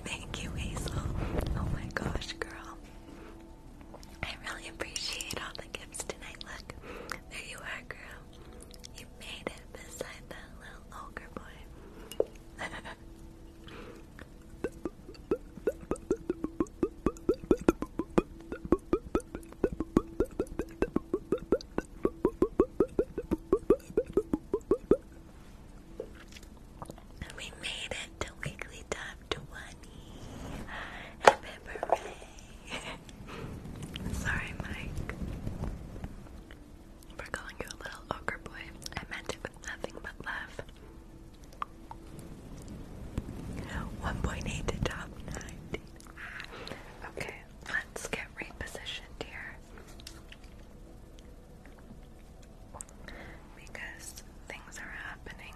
Thank you, Hazel. Oh my gosh, girl. I really appreciate all the gifts tonight. Look, there you are, girl. You made it beside that little ogre boy. We made it to weekly top to one Sorry, Mike. For calling you a little ogre boy. I meant it with nothing but love. 1.8 to top 19. Okay, let's get repositioned here. Because things are happening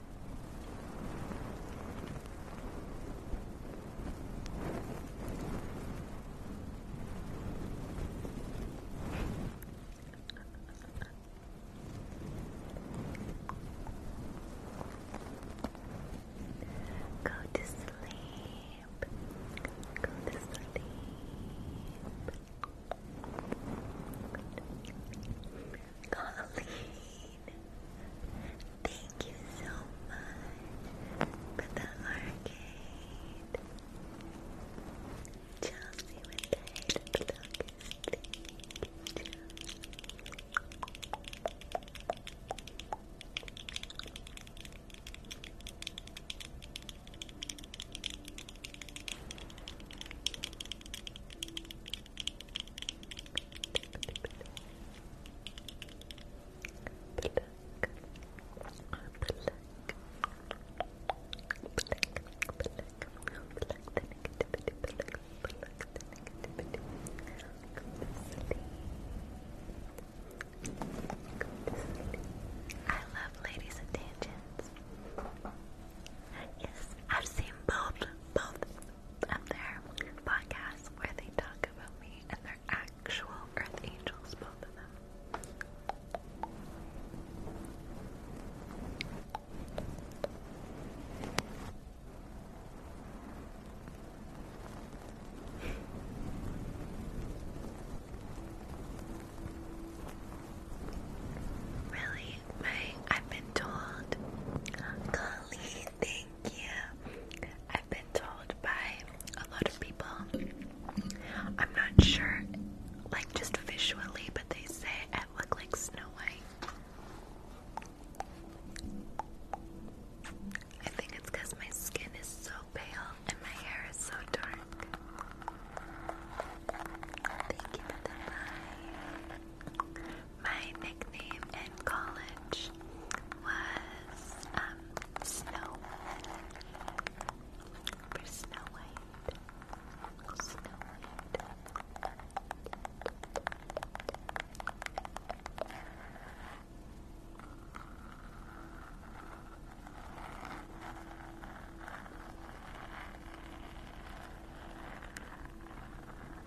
Go to sleep. Go to sleep. Golly. Thank you so much for the arcade. Chelsea with the I love ladies' attentions. Yes, I've seen both, both, of their podcast where they talk about me and they actual earth angels, both of them. really I've been told Golly, thank you. I've been told by a lot of people. I'm not sure like just visually, but they say I look like Snow White. I think it's because my skin is so pale and my hair is so dark. Thank you for the my nickname in college was um, Snow for Snow White. Snow White.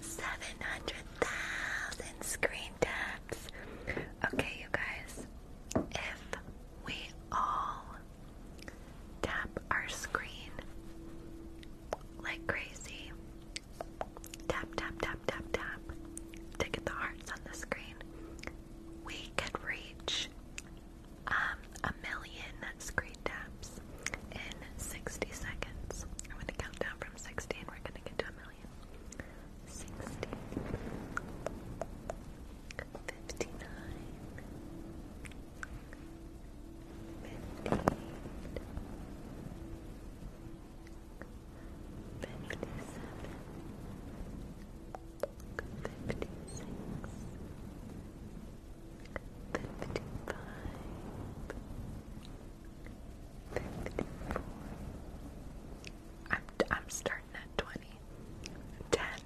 Seven hundred thousand screen taps. Okay, you guys, if we all tap our screen like crazy, tap, tap, tap, tap, tap, to get the hearts on the screen, we could reach um, a million screen taps in 60 seconds. I'm going to count down from 60 and we're going to get to a million. 60, 55 I'm, I'm starting at 20 tap tap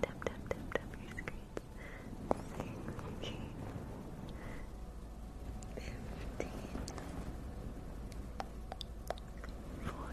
tap tap tap your screen sixteen, fifteen, fourteen, thirteen, twelve, eleven, ten. Nine,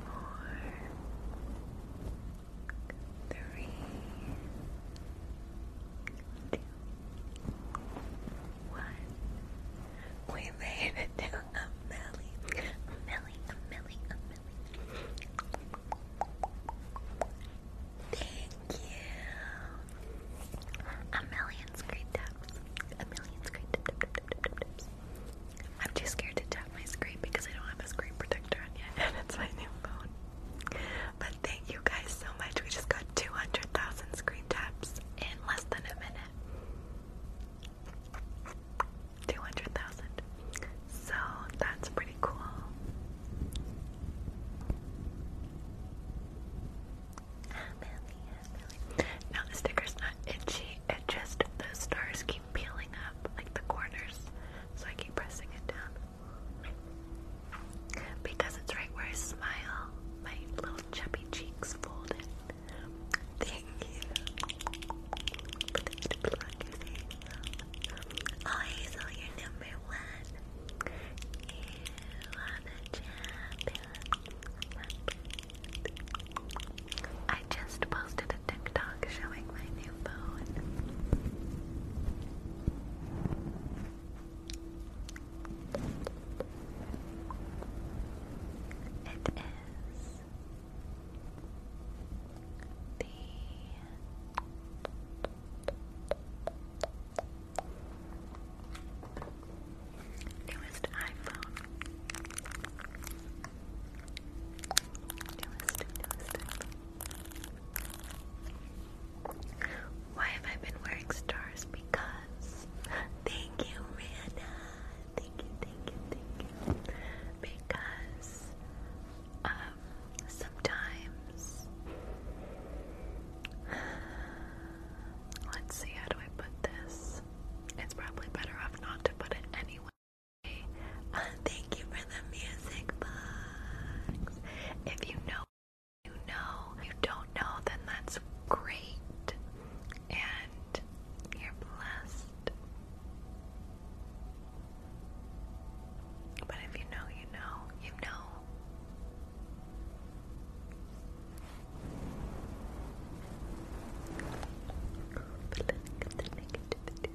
four, three, two, one. We made it to a milli, a milli, a milli, a milli. Thank you. A million screen taps. A million screen taps. I'm too scared to tap my screen because I don't have a screen protector on yet, and it's my new phone. But thank you guys so much. We just got 200,000 screen taps in less than a minute. 200,000. So that's pretty cool. Now the sticker's not itchy, it just the stars peeling up like the corners, so I keep pressing it down. Because it's right where I smile, my little chubby cheeks fold Thank you. Oh, Hazel, you're number one. You are the champion. I just posted TikTok showing my new phone. It is the newest iPhone. Why have I been wearing stars? Because thank you, Rihanna. Thank you, thank you, thank you. Because um, sometimes let's see how do I put this? It's probably better off not to put it anyway. Uh, thank you for the music box. If you know, you know. If you don't know, then that's great. And you're blessed. But if you know, you know, you know. Look at the negativity.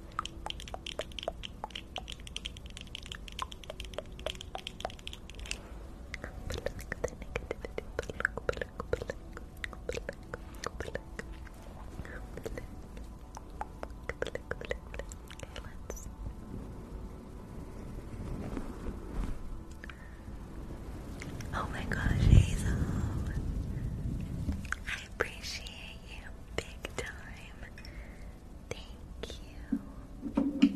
Oh my gosh, Hazel. I appreciate you big time. Thank you.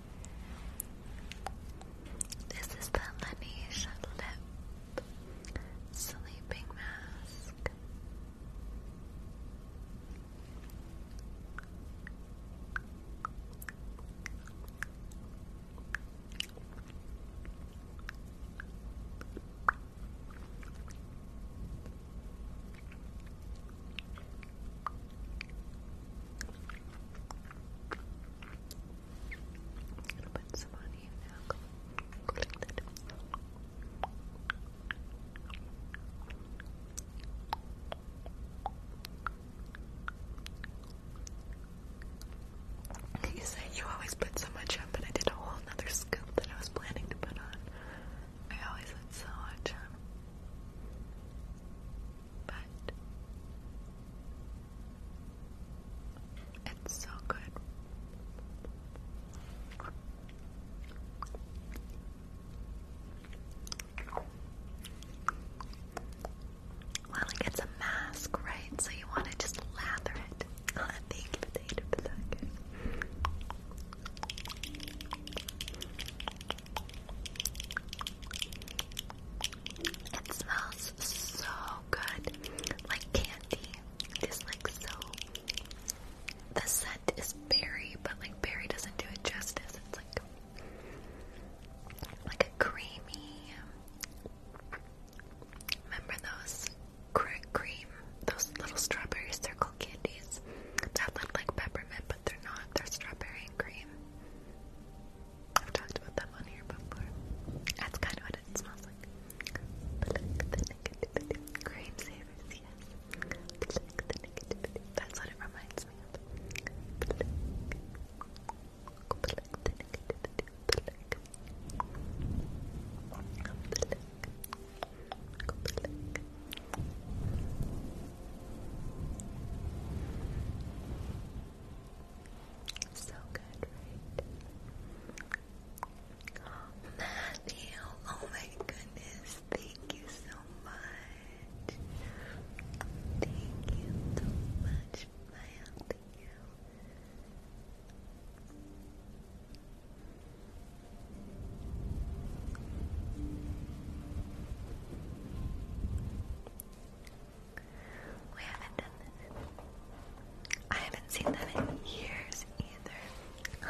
This is the Laneige Lip Sleeping Mask gonna put some on you now. You said you always put so much on, but I did a whole nother scoop that I was planning to put on. I always put so much on. But it's so good. Well, like it's a mask, right? So you want to just lather it It smells so good, like candy. It is like so. The scent is berry, but like berry doesn't do it justice. It's like like a creamy. Remember those cream, those little strawberry circle candies that looked like peppermint they're not. They're strawberry and cream. I've talked about them on here before. That's kind of what it smells like. Cream savers, yes. That's what it reminds me of. So good, right? Matthew, oh my goodness, thank you so much. Thank you so much, Maya, we haven't done this. I haven't seen them in years either.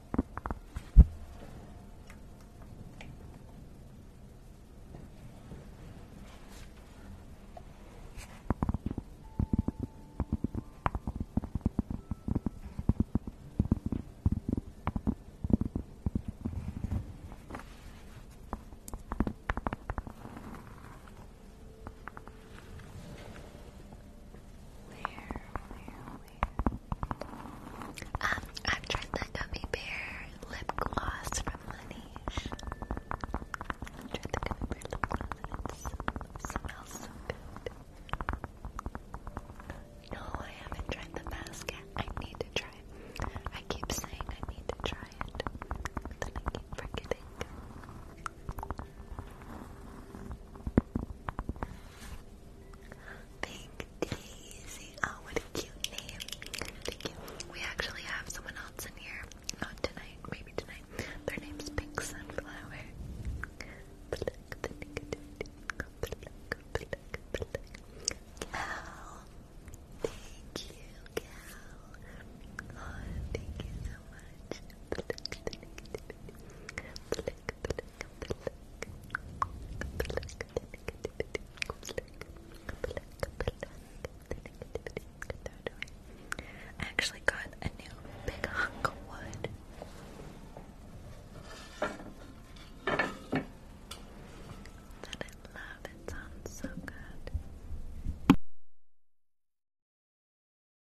Where, where, um, I've tried the gummy bear lip gloss from Laneige. I've tried the gummy bear lip gloss it smells so good. No, I haven't tried the mask yet. I need to try it. I keep saying I need to try it, then I keep forgetting. Pink Daisy. Oh, what a cute name. We actually have someone else in here. tonight, maybe tonight. Their name's Pink Sunflower. Cal. Thank you, Cal. Oh, thank you so much. I actually got a new big hunk of wood. That I love, it sounds so good.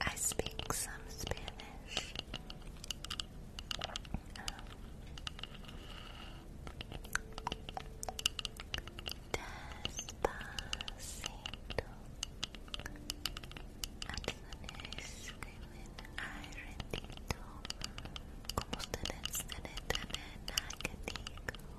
I speak some Spanish. Um, despacito. Acciones escriben ay retito. Como ustedes se detienen a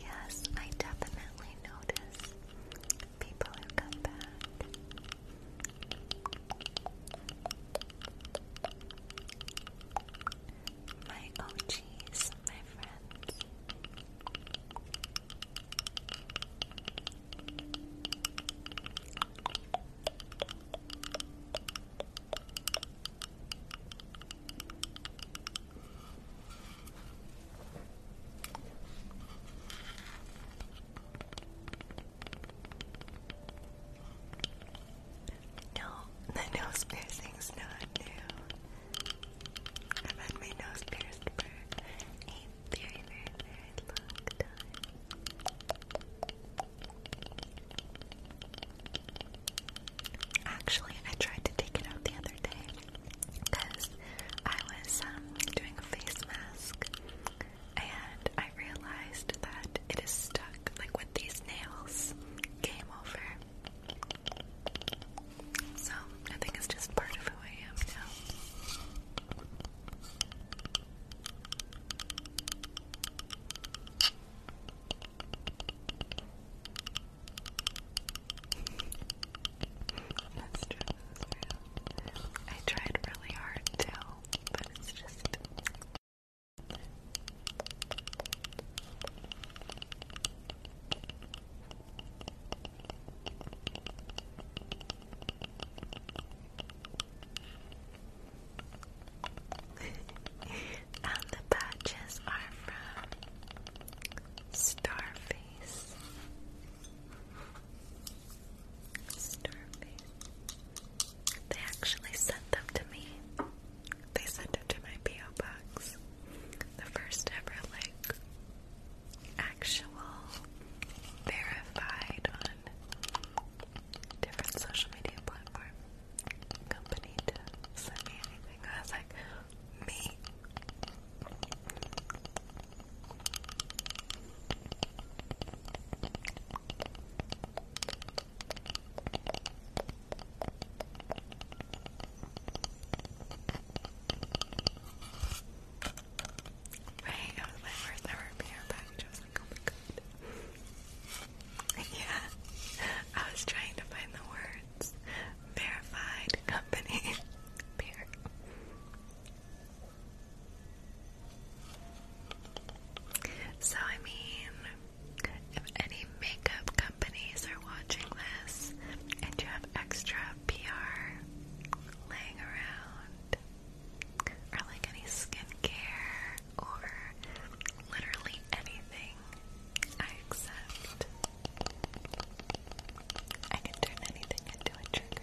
Yes, I definitely notice people who come back. My OGs, my friends. No, the nose piercing's new. I've had my nose pierced for a very, very, very long time. Actually, I tried to take it out the other day because I was um, doing a face mask and I realized that it is stuck like with these nails. Game over. So, I think it's just part of who I am now. That's true, I tried really hard too, but it's just. and the patches are from Starface. Starface. They actually sent them to me. They sent them to my PO box. The first ever like actual verified one different social media platform company to send me anything. I was like, me. Right, my first ever PR package. I was oh Yeah, I was trying to find the words. Verified company. So, I mean, if any makeup companies are watching this and you have extra PR laying around, or like any skincare or literally anything I accept. I can turn anything into a trigger.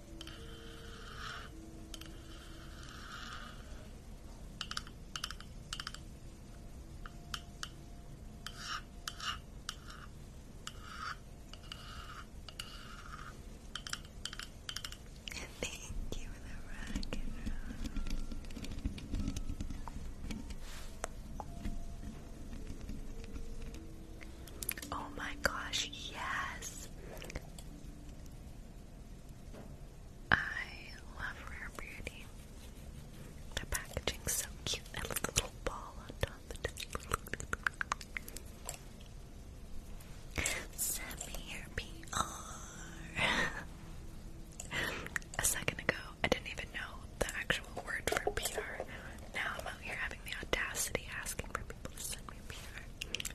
Thank you the rock Oh my gosh, yes. I love Rare Beauty. The packaging's so cute. I little ball on top of it. Samir PR. A second ago, I didn't even know the actual word for PR. Now I'm out here having the audacity asking for people to send me PR.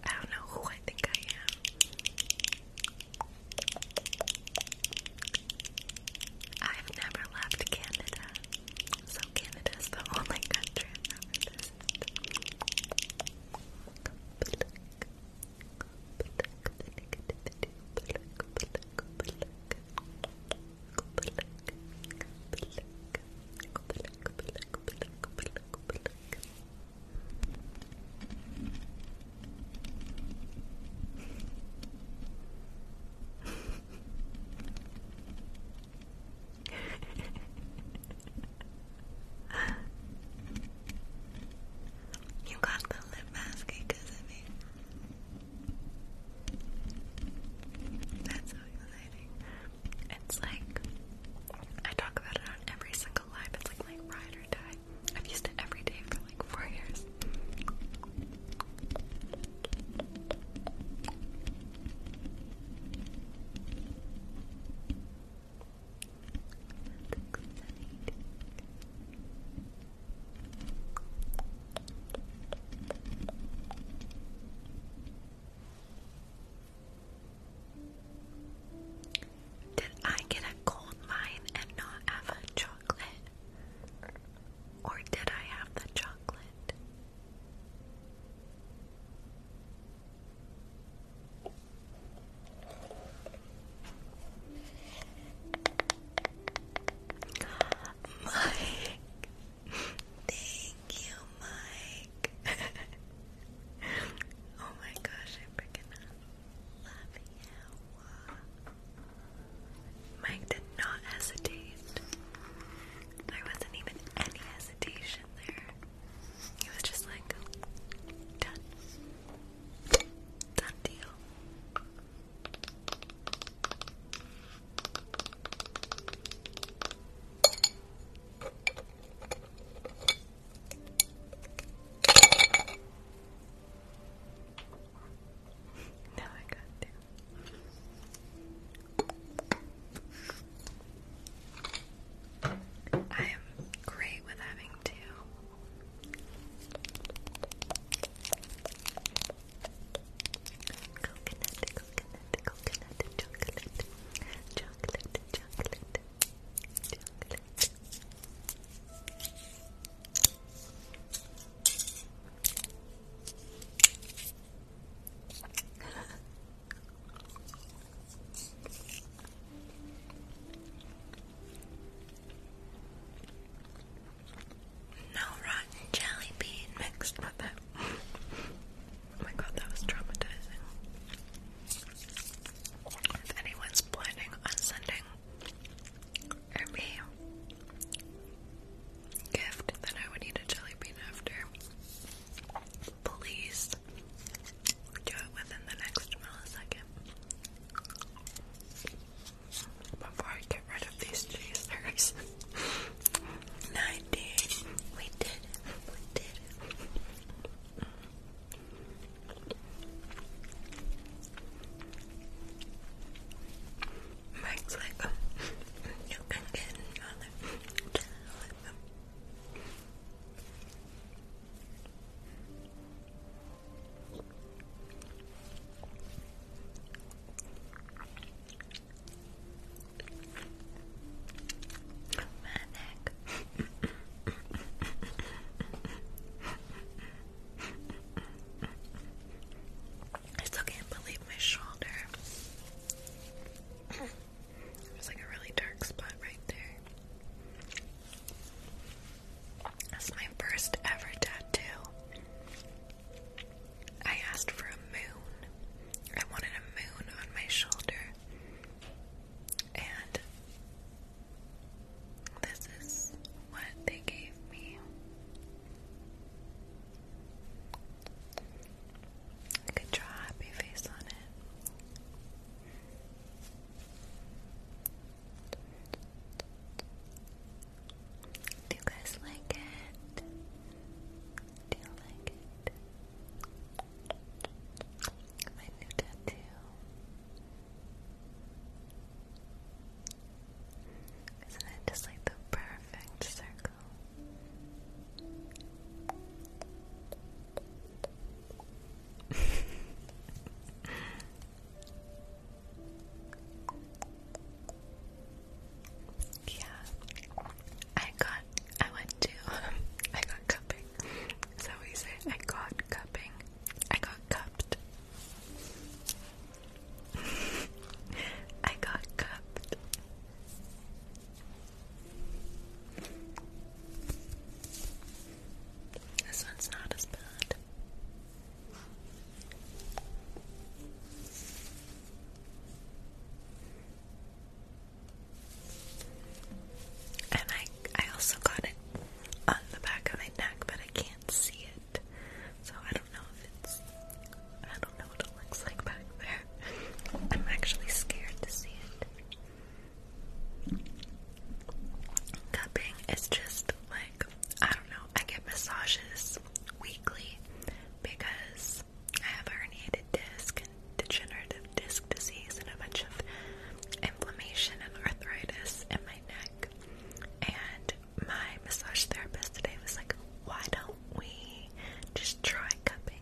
I don't know who I think I am. I've never left Canada, so Canada is the only country I've ever visited you got the lip mask because of me. That's so exciting. It's like I talk about it on every single gonna lie, like ride or die. I've used it every day for like four years. Did I get a gold mine and not have a chocolate? Or did I have the chocolate? Mike, thank you, Mike. oh my gosh, I'm up. love you. Mike did not hesitate. There wasn't even any hesitation there. He was just like, done. Done deal now I got to. I am great with having to. Coconut, coconut, coconut, chocolate, chocolate, chocolate, chocolate. no rotten jelly bean mixed with it. oh my god, that was traumatizing. If anyone's planning on sending a gift, then I would eat a jelly bean after. Please do it within the next millisecond. Before I get rid of these chasers. 90. We did We did Mike's like, um, you can get another Manic. I still can't believe my shoulder. There's like a really dark spot right there. That's my first ever tattoo. I asked for a moon. I wanted a moon on my shoulder. And this is what they gave me. I could draw a happy face on it. Do you guys like it? Do you like it? My new tattoo. Isn't it just like the perfect circle? yeah, I got. I went to. Um, I got cupcakes so we say, I got cupping. I got cupped. I got cupped. This one's not as bad. And I I also got it on the back of my neck, but I can't see it. So I don't know if it's I don't know what it looks like back there. I'm actually scared to see it. Cupping is just like I don't know, I get massages weekly because I have herniated disc degenerative disc disease and a bunch of inflammation and arthritis in my neck. And my massage therapist today was like, why don't we just try cupping?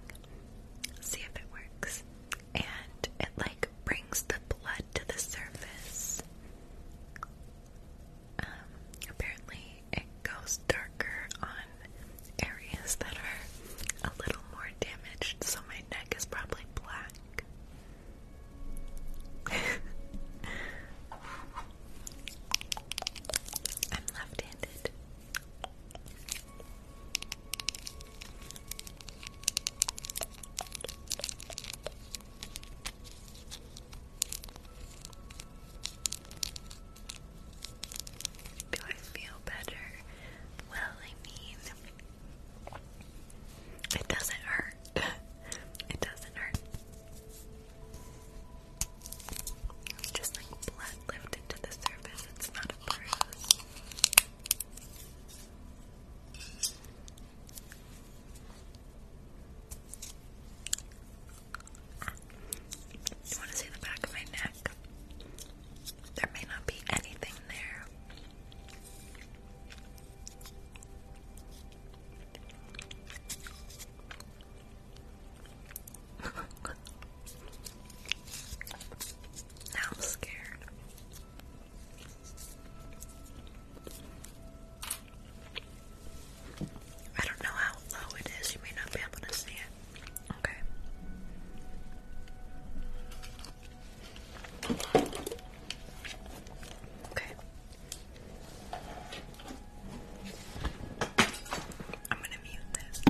See if it works. And it like brings the blood to the surface. Um, apparently it goes darker on areas that are a little more damaged, so my neck is probably black. I'm left handed. Do I feel better? Well, I mean, it doesn't hurt. it doesn't hurt. just like blood lifted to the surface. It's not a bruise. You want to see the back of my neck? There may not be anything there. I'm scared. I don't know how low it is, you may not be able to see it. Okay. Okay. I'm going to mute this.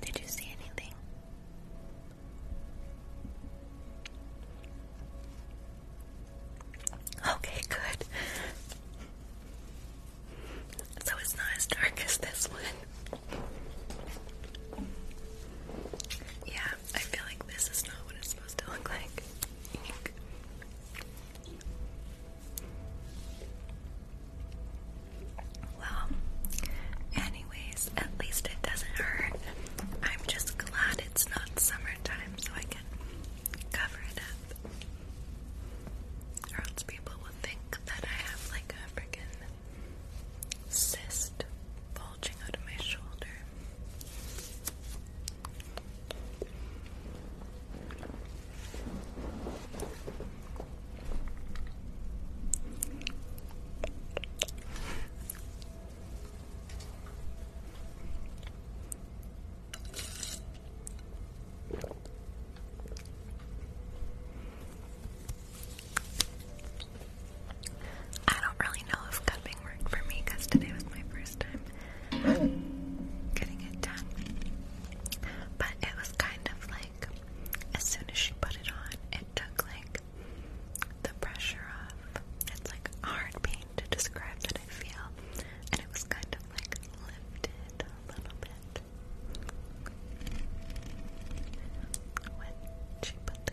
Did you see anything? Okay, good. So it's not as dark as this one. Yeah, I feel like this is not what it's supposed to look like. Well, anyways, at least it doesn't hurt. I'm just glad it's not summertime so I can cover it up. Or else people will think that I have like a freaking cyst bulging out of my shoulder. I don't really know if cupping worked for me because today was my first time getting it done. But it was kind of like, as soon as she put it on, it took like the pressure off. It's like hard pain to describe that I feel. And it was kind of like lifted a little bit. When she put the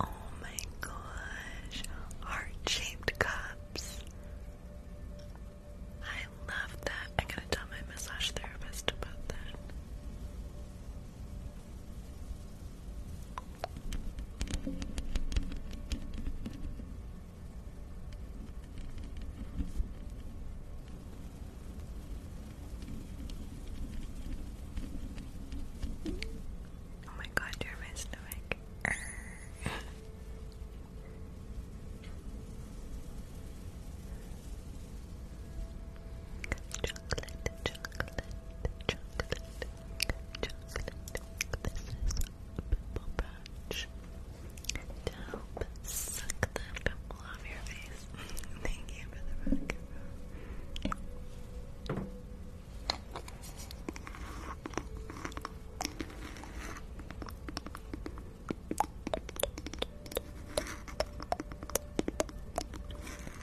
Oh my gosh, heart-shaped cups. I love that. I gotta tell my massage therapist about that. Oh my god, you're my stomach. chocolate, chocolate, chocolate, chocolate. This is a pimple patch to suck the pimple off your face. Thank you for the rock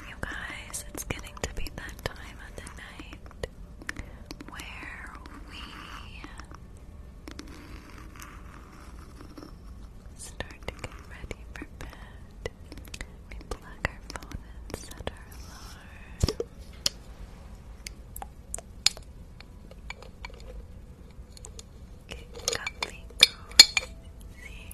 You guys, it's getting to be that time of the night where we start to get ready for bed. We plug our phone and set our alarm. Get comfy, cozy.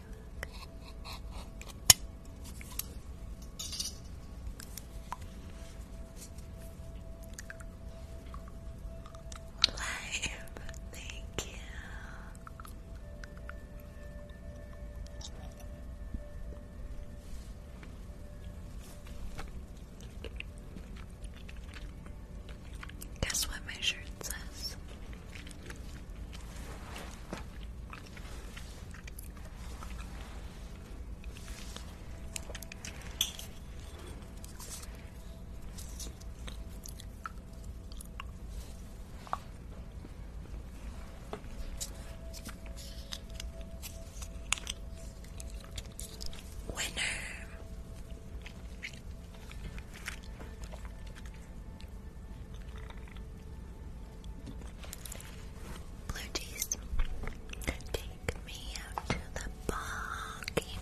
Life, thank you. Guess what my shirt says? Winner. Blue cheese, take me out to the boggy.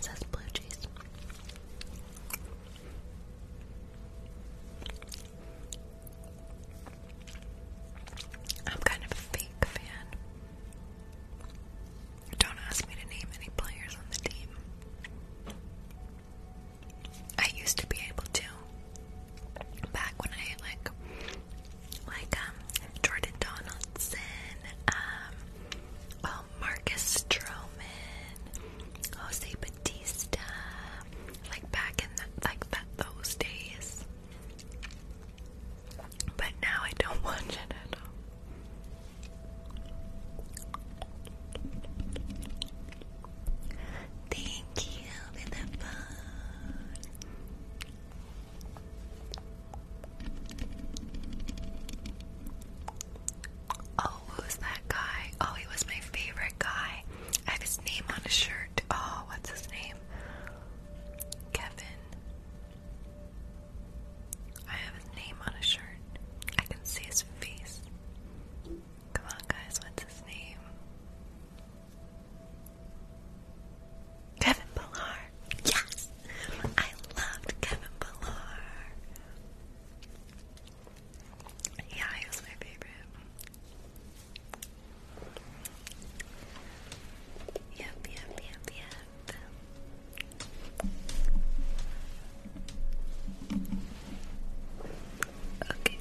says blue cheese. I'm kind of a fake fan. Don't ask me to name any players on the team. I used to be able to back when I like like um Jordan Donaldson, um well oh, Marcus Stroman, Jose Batista, like back in like that those days. But now I don't watch it Thank you for the phone. Oh, who's that guy? Oh, he was my favorite guy. I have his name on a shirt. Oh, what's his name? Kevin. I have his name on a shirt. I can see his face. Come on, guys, what's his name? Kevin Pillar. Yes! I loved Kevin Pillar. Yeah, he was my favorite. Yep, yep, yep, yep. Okay.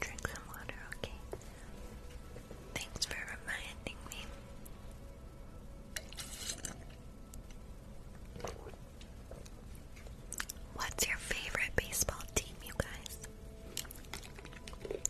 Drink some water, okay? Thanks for reminding me. What's your favorite baseball team, you guys? Oh,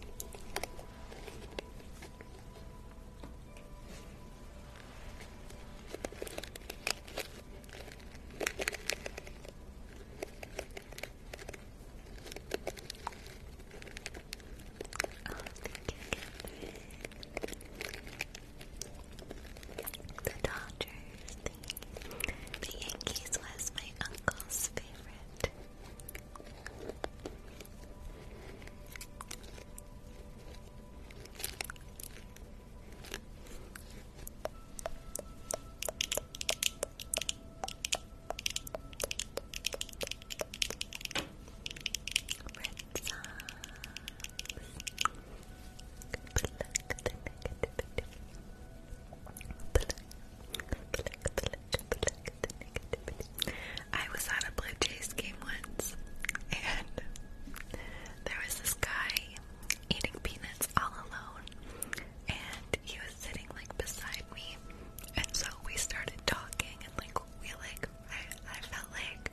the Dodgers, the, Yankees was my uncle's favorite. Red Sox. I was at a Blue Jays game once, and there was this guy eating peanuts all alone, and he was sitting like beside me, and so we started talking, and like we like I, I felt like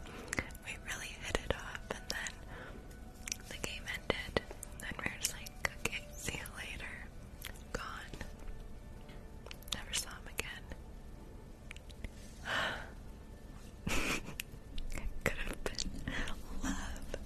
we really hit it off, and then the game ended, and we were just like, okay, see you later. Gone. Never saw him again. Could have been love.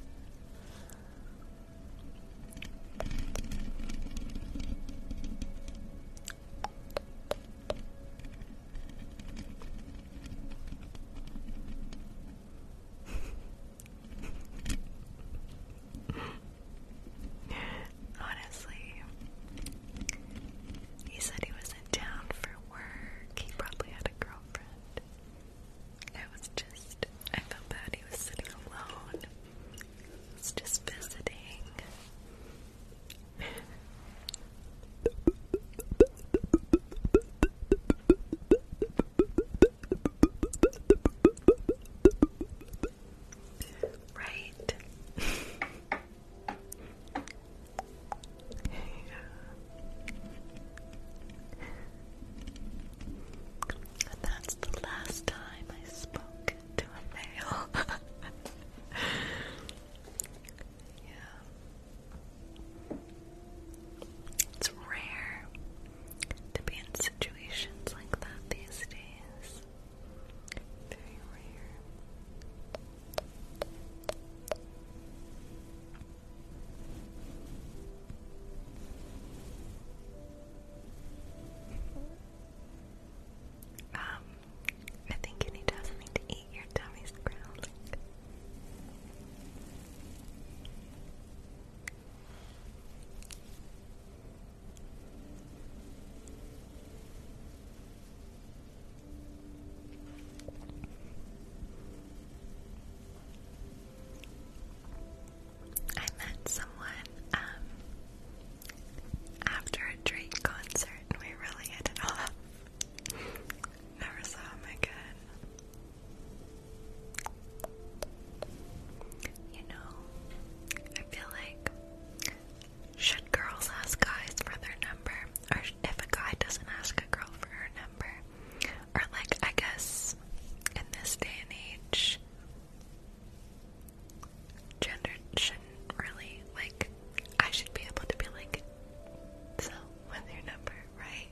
Honestly, he said he was in town for work. He probably had a girlfriend. I was just, I felt bad he was sitting alone. He just visiting. Right. and that's the last time I spoke to a male. Yeah. It's rare to be in situations like that these days. Very rare. Um, I think you need something to eat. Your tummy's growling. I met someone um, after a Drake concert we really hit it off. Never saw him again. You know, I feel like should girls ask guys for their number, or if a guy doesn't ask a girl for her number, or like I guess in this day and age, gender shouldn't really like. I should be able to be like, so what's your number, right?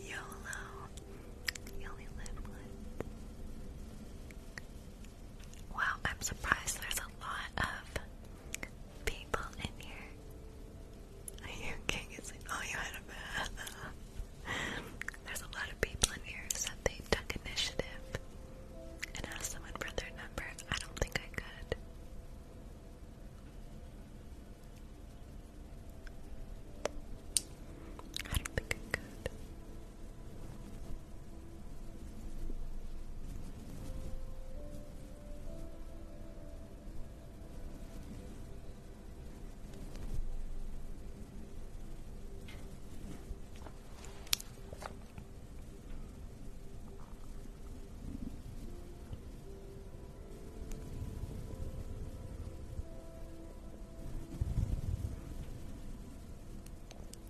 YOLO. You only live once. Wow, I'm surprised there's a lot of people in here. Are you okay? It's oh, you had a bath. there's a lot of people in here who said they took initiative and asked someone for their number. I don't think I could. I don't think I could.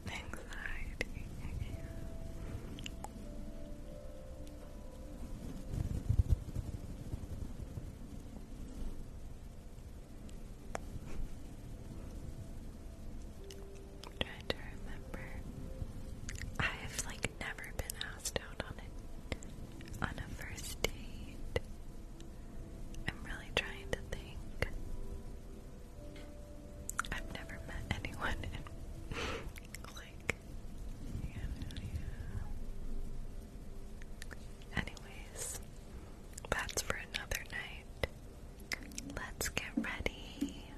Anxiety again. trying to remember. I have like never been asked out on a first date? I'm really trying to think. I've never met anyone in like Anyways, that's for another night. Let's get ready.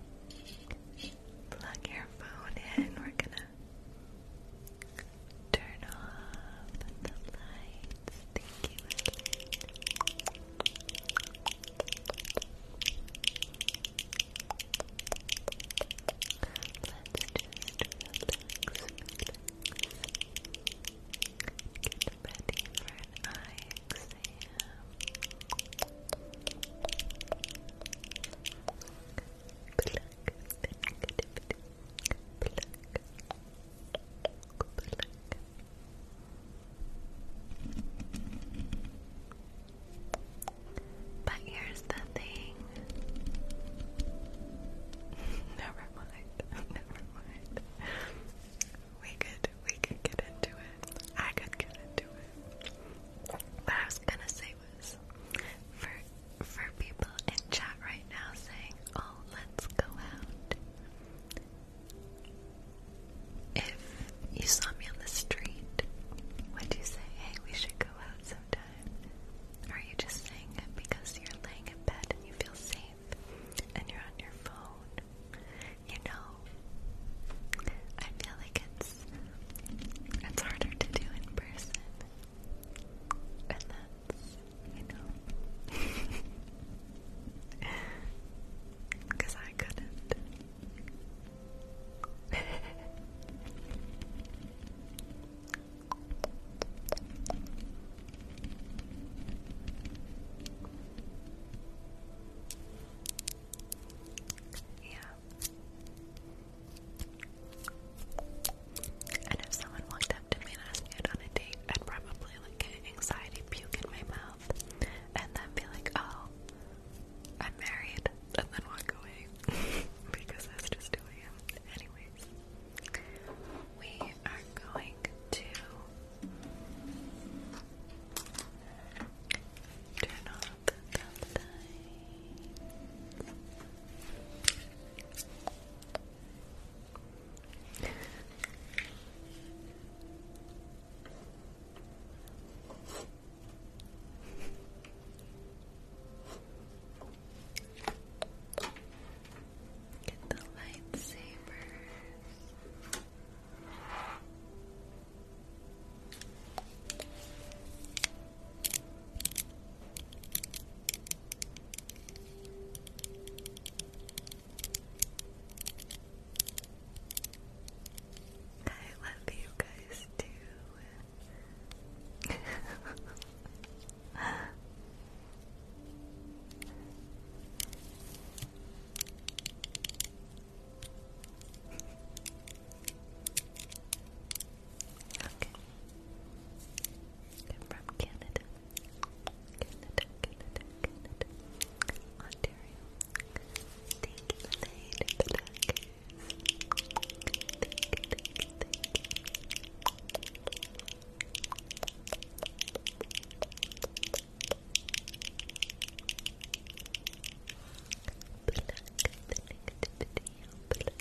Plug your phone in. We're gonna Turn off the lights. Thank you, Let's just relax, Get ready for an eye exam. Pluck, pluck, pluck, pluck. But here's the thing. Never mind. Never mind. We could we could get into it. I could get into it. What I was gonna say was for people in chat right now saying, oh, let's go out. If you saw me on the street, would you say, hey, we should go out sometime? Or are you just saying it because you're laying in bed and you feel safe and you're on your phone? You know, I feel like it's it's harder to do in person. And that's you know. Because I couldn't. Yeah. And if someone walked up to me and asked me out on a date, I'd probably like get an anxiety puke in my mouth and then be like, oh, I'm married, and then walk away because that's just who I am. Anyways, we are going to turn off the Get the lightsabers. I love you guys too. okay. I'm from Canada. Canada, Canada, Canada, Ontario. Thank you, Lane Blackers. Thank you, thank you, thank you. Black the negativity, black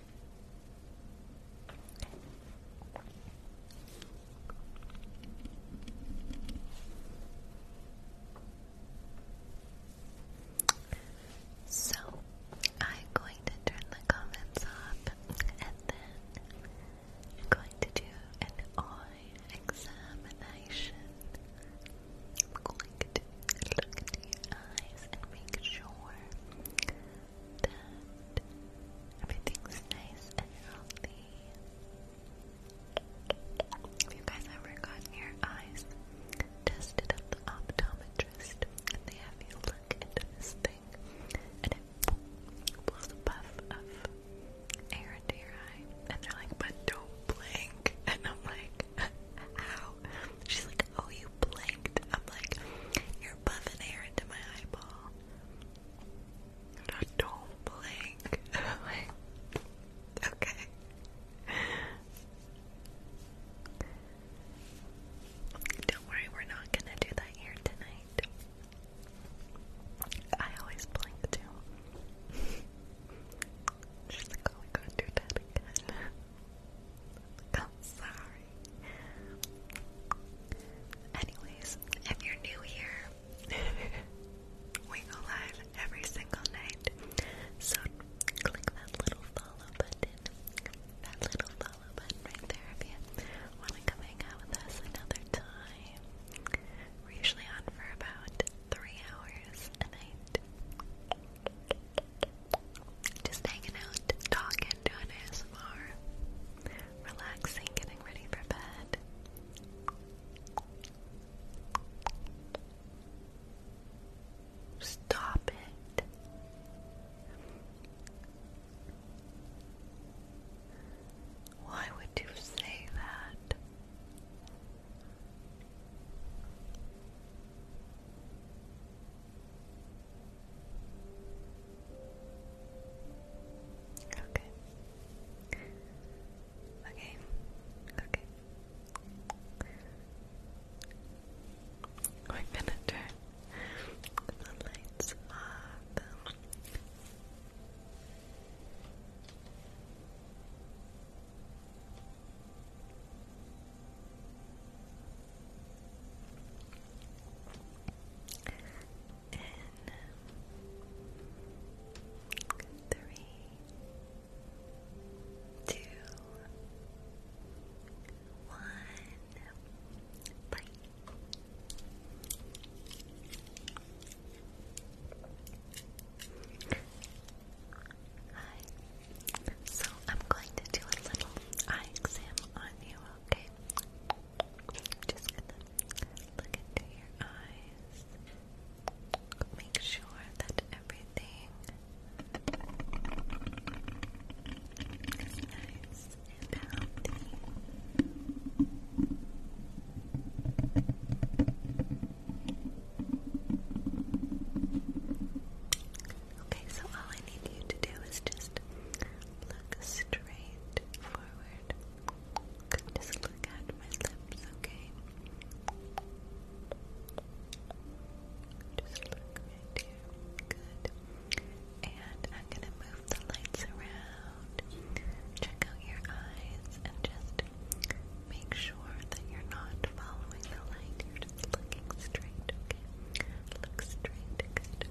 So, I'm going to turn the comments off and then I'm going to do an eye examination. I'm going to look into your eyes and make sure have you guys ever gotten your eyes tested at the optometrist and they have you look into this thing and it blows a puff of air into your eye and they're like, but don't blink. And I'm like, how? She's like, oh, you blinked. I'm like, you're puffing air into my eyeball. No, don't blink. okay. Don't worry, we're not gonna do that here tonight. I always blink too. She's like, oh, we to do that again. i sorry. Anyways, if you're new here, we go live every single night. So click that little follow button. That little follow button right there if you want to come hang out with us another time. We're usually on for about three hours a night. Just hanging out, talking, doing ASMR, relaxing, getting ready for bed. Stop it. Why would you say that? Okay. Okay. Okay. We're gonna turn the lights off in three, two, one, bye. Hi. So I'm going to do a little eye exam on you, okay? just look into your eyes. Make sure that everything is nice and healthy. Okay, so all I need you to do is just Look straight forward. Just look at my lips, okay? Just look right here. Good. And I'm gonna move the lights around. Check out your eyes and just make sure that you're not following the light. You're just looking straight, okay? Look straight, good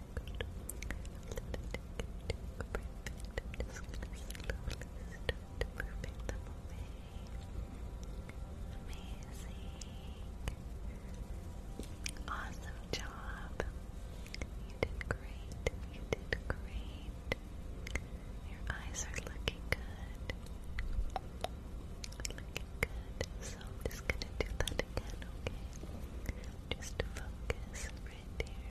perfect Amazing. Awesome job. You did great. You did great. Your eyes are looking good. Looking good. So I'm just gonna do that again, okay? Just focus right there.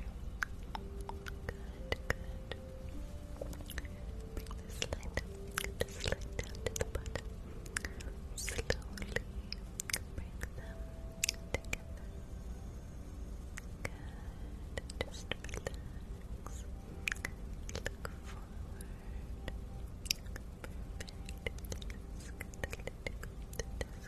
Good, good. Bring this light up, this down to the bottom. Slowly bring them together. Good. Just relax. Look forward. Perfect. Let's get a little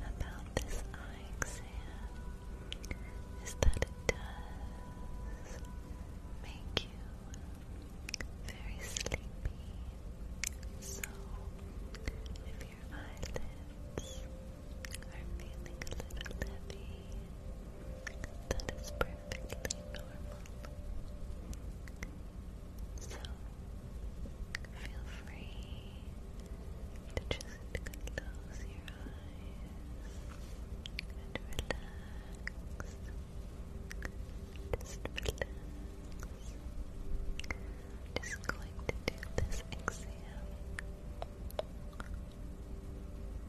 about this eye exam is that it does make you very sleepy. So, if your eyelids are feeling a little heavy, that is perfectly normal. So, feel free to just close your eyes and relax. Just relax. just going to do this exam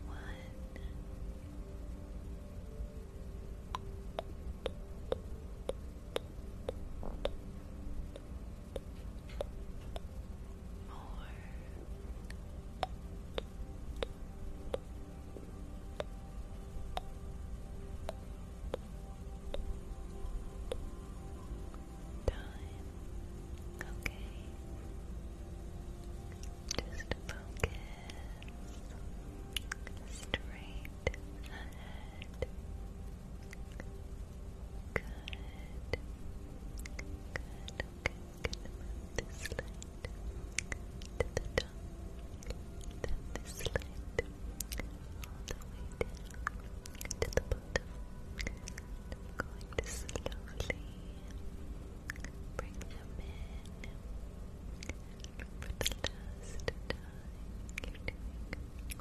one more. Time. Okay. Just focus straight ahead. Good. Good. Okay, I'm gonna move this light to the top. all the way down to the bottom. going slowly bring them in. For the last time, you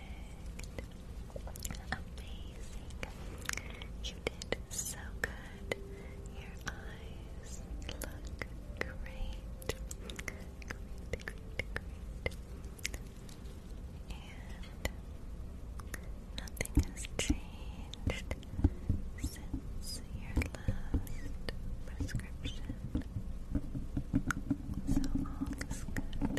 Perfect. Amazing. You did so good. Your eyes look great. Great, great, great. And nothing has changed since your last prescription. So all is good.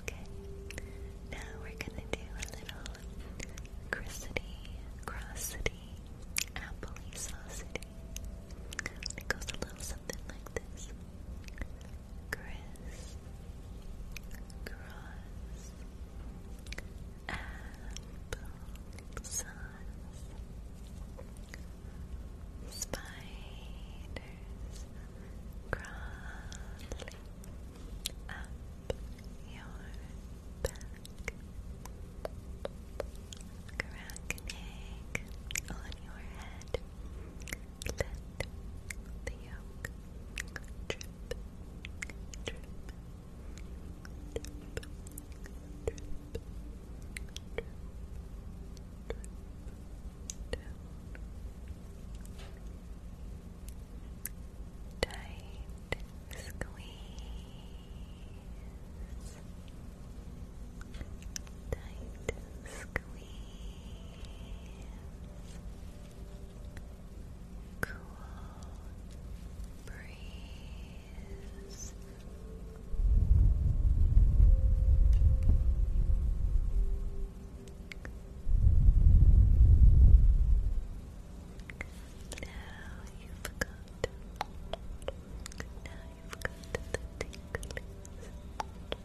Okay. Now we're gonna do a little crissity, crossity, appley saucity. It goes a little something like this. Criss, cross, apple sauce, spider, crawling up your back, cracking on your head. Let the yolk drip, drip, drip, drip, drip. Drip, drip, down. Tight squeeze. Tight squeeze. Cool breeze. Now you've got now you've got the tingles. Now you've got the tingles.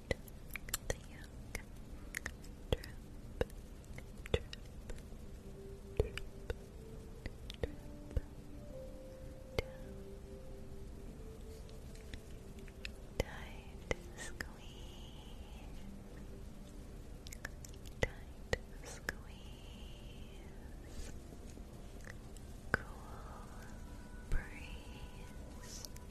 the yoke, tight squeeze, tight squeeze, Cool breeze,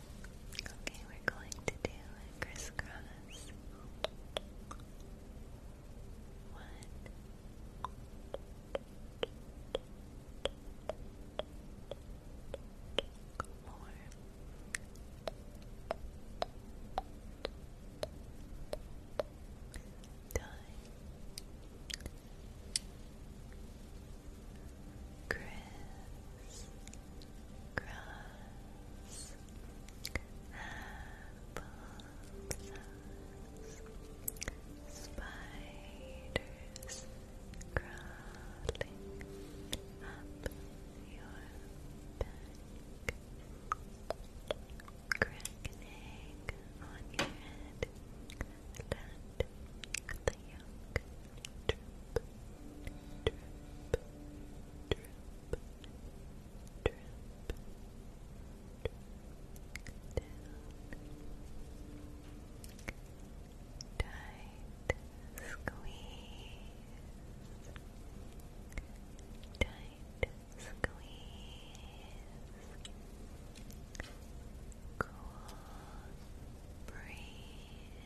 Okay, we're going to do crisscross. One, four, sauce, apple spiders crawling up your back, crack on your head, let the drip, drip, tight squeeze, tight squeeze, cool breeze.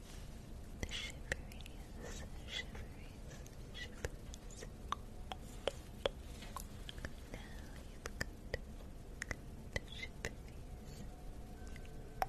Shiveries, shiveries, shiveries. Now you've got the shiveries. Now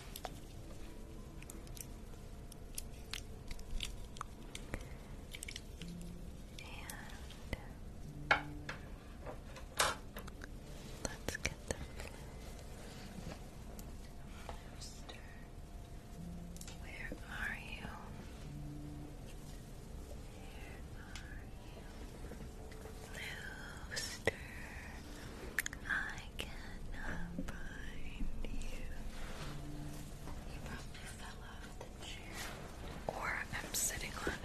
And let's get the Where are you? Where are you? Rooster. I cannot find you. He probably fell off the chair. Or I'm sitting on him.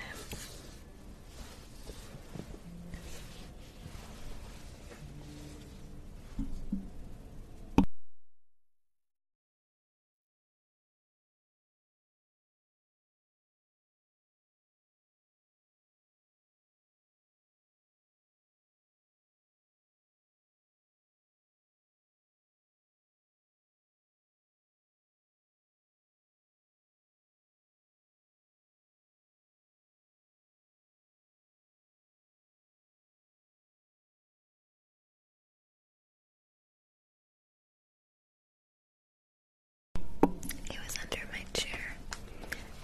It was under my chair.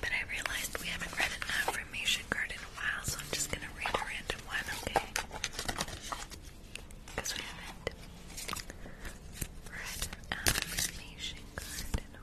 But I realized we haven't read an affirmation card in a while, so I'm just gonna read a random one, okay? Because we haven't read um, affirmation card in a while.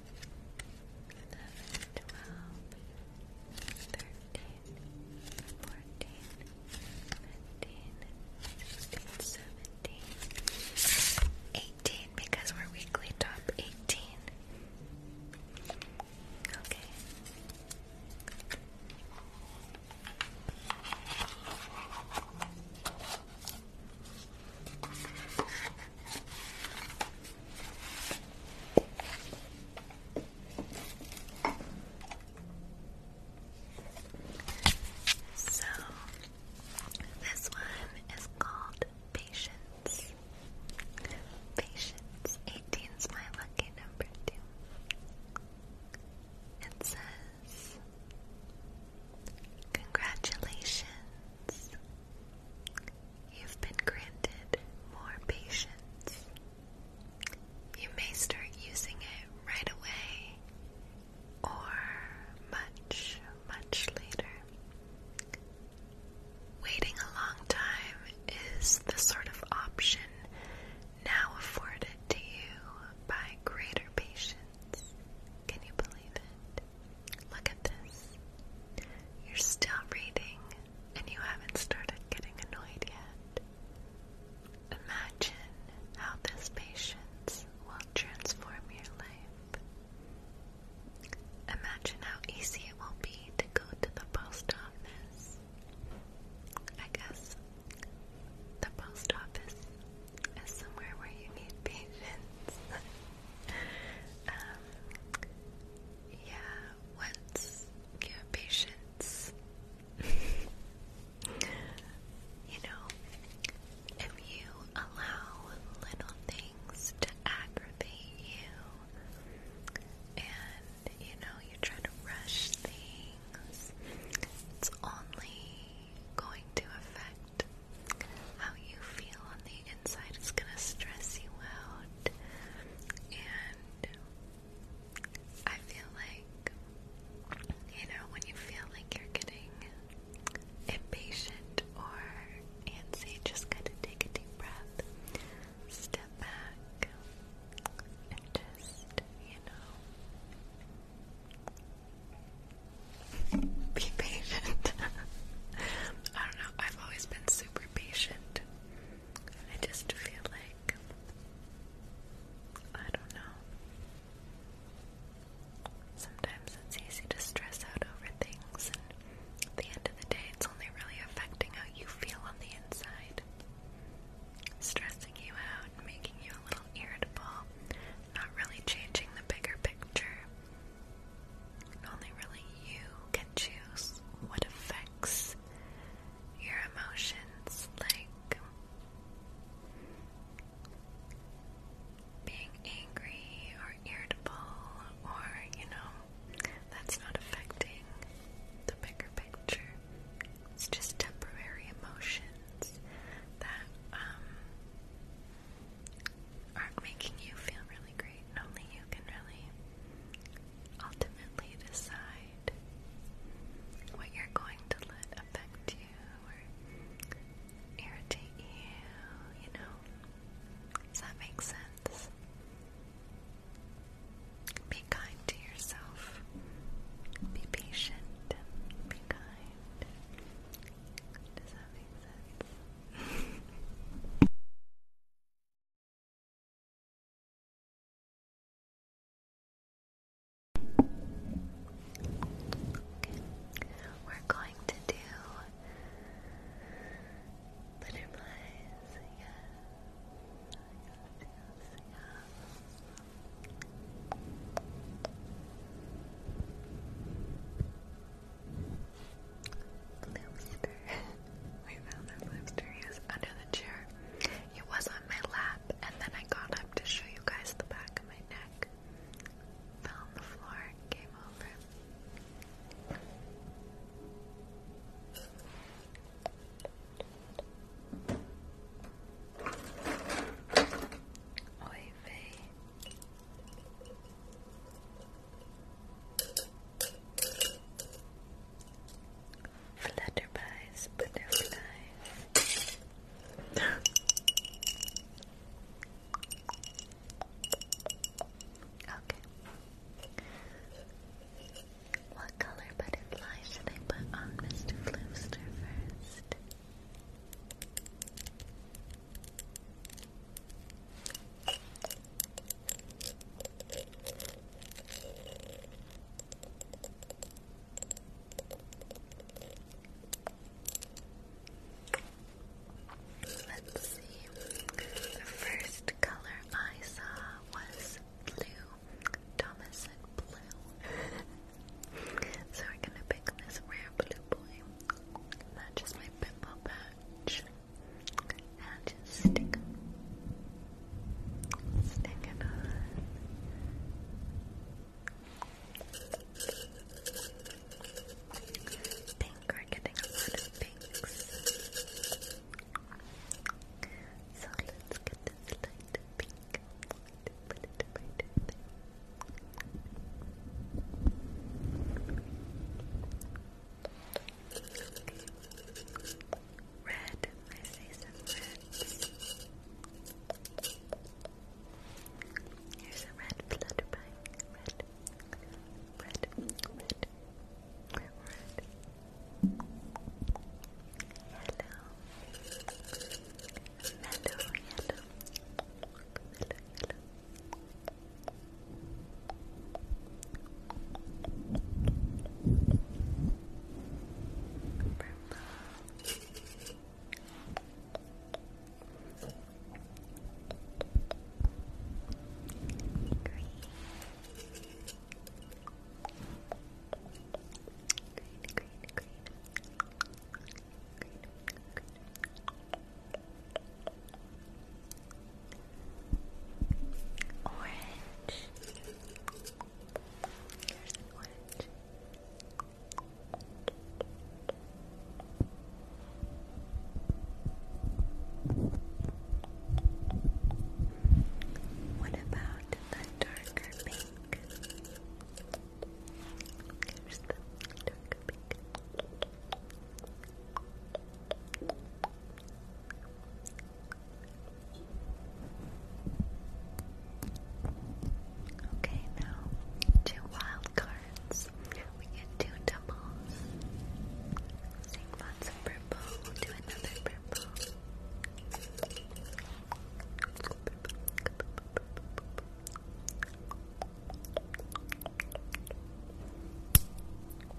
17, 18 because we're weekly top 18. Okay. So, this one is called Patience. Patience. 18's my lucky number, too. It says, Congratulations. You've been granted more patience. You may start using it right away or much, much later. Waiting a long time is the sort of option now afforded to you by greater patience. Can you believe it? Look at this. You're still reading, and you haven't started getting annoyed yet. Imagine how this patience will transform your life. Imagine how easy it will be to go to the post office. I guess the post office is somewhere where you need patience. Um, yeah, once you have patience, you know, if you allow little things to aggravate you and, you know, you try to rush things, it's only going to affect how you feel on the inside is going to stress you out. And I feel like, you know, when you feel like you're getting impatient or antsy, just kind of take a deep breath, step back, and just, you know, be patient. I don't know. I've always been super patient. I just feel like I don't know. Sometimes it's easy to stress out over things, and at the end of the day, it's only really affecting how you feel on the inside. Stressing you out, making you a little irritable, not really changing the bigger picture. Only really you can choose what affects your emotions, like being angry or irritable, or you know, that's not affecting the bigger picture. It's just temporary emotions that um, are making you feel really great, and only you can really ultimately decide what you're going to let affect you or irritate you, you know. Does that make sense? Be kind to yourself. Be patient. Be kind. Does that make sense? Okay. We're going to do butterflies. Yes, Flipster. we found the flipster. He was under the chair. He was on my lap, and then I got up to show you guys the back of my neck. Fell on the floor, came over. Oy vey. Flutterby's butterflies. okay. What color butterfly should I put on Mr. Flooster first? Let's see. The first color I saw was blue. Thomas said blue. so we're gonna pick this rare blue boy. Matches my pimple patch. And just stick Stick it on. Pink, we're getting a lot of pinks. So let's get this light pink. Put it right there. Red, I say some reds. Here's a red flutterby. Red, red, red, red, red. Yellow, mellow, yellow, yellow. Green, green, green. Green, green, green. Orange. Here's What about the darker pink? Here's the darker pink. Okay, now two wild cards. We get two doubles. Sing lots of purple. do another purple.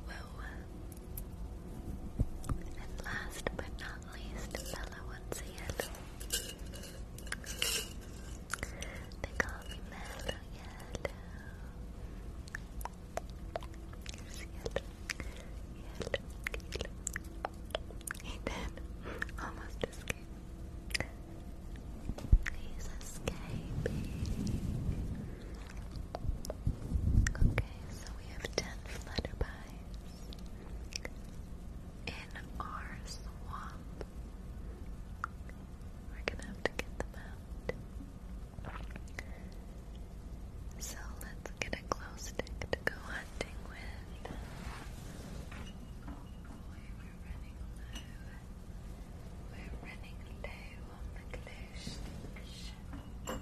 Whoa. And last but not least, Bella once again. They call me Yellow. yellow, yellow, He did almost escape. He's escaping. Okay, so we have ten flutterpies in our swamp. We're gonna have to get them out. So let's get a glow stick to go hunting with. Oh we're running low. We're running low on the glow extinction. Yeah. Okay.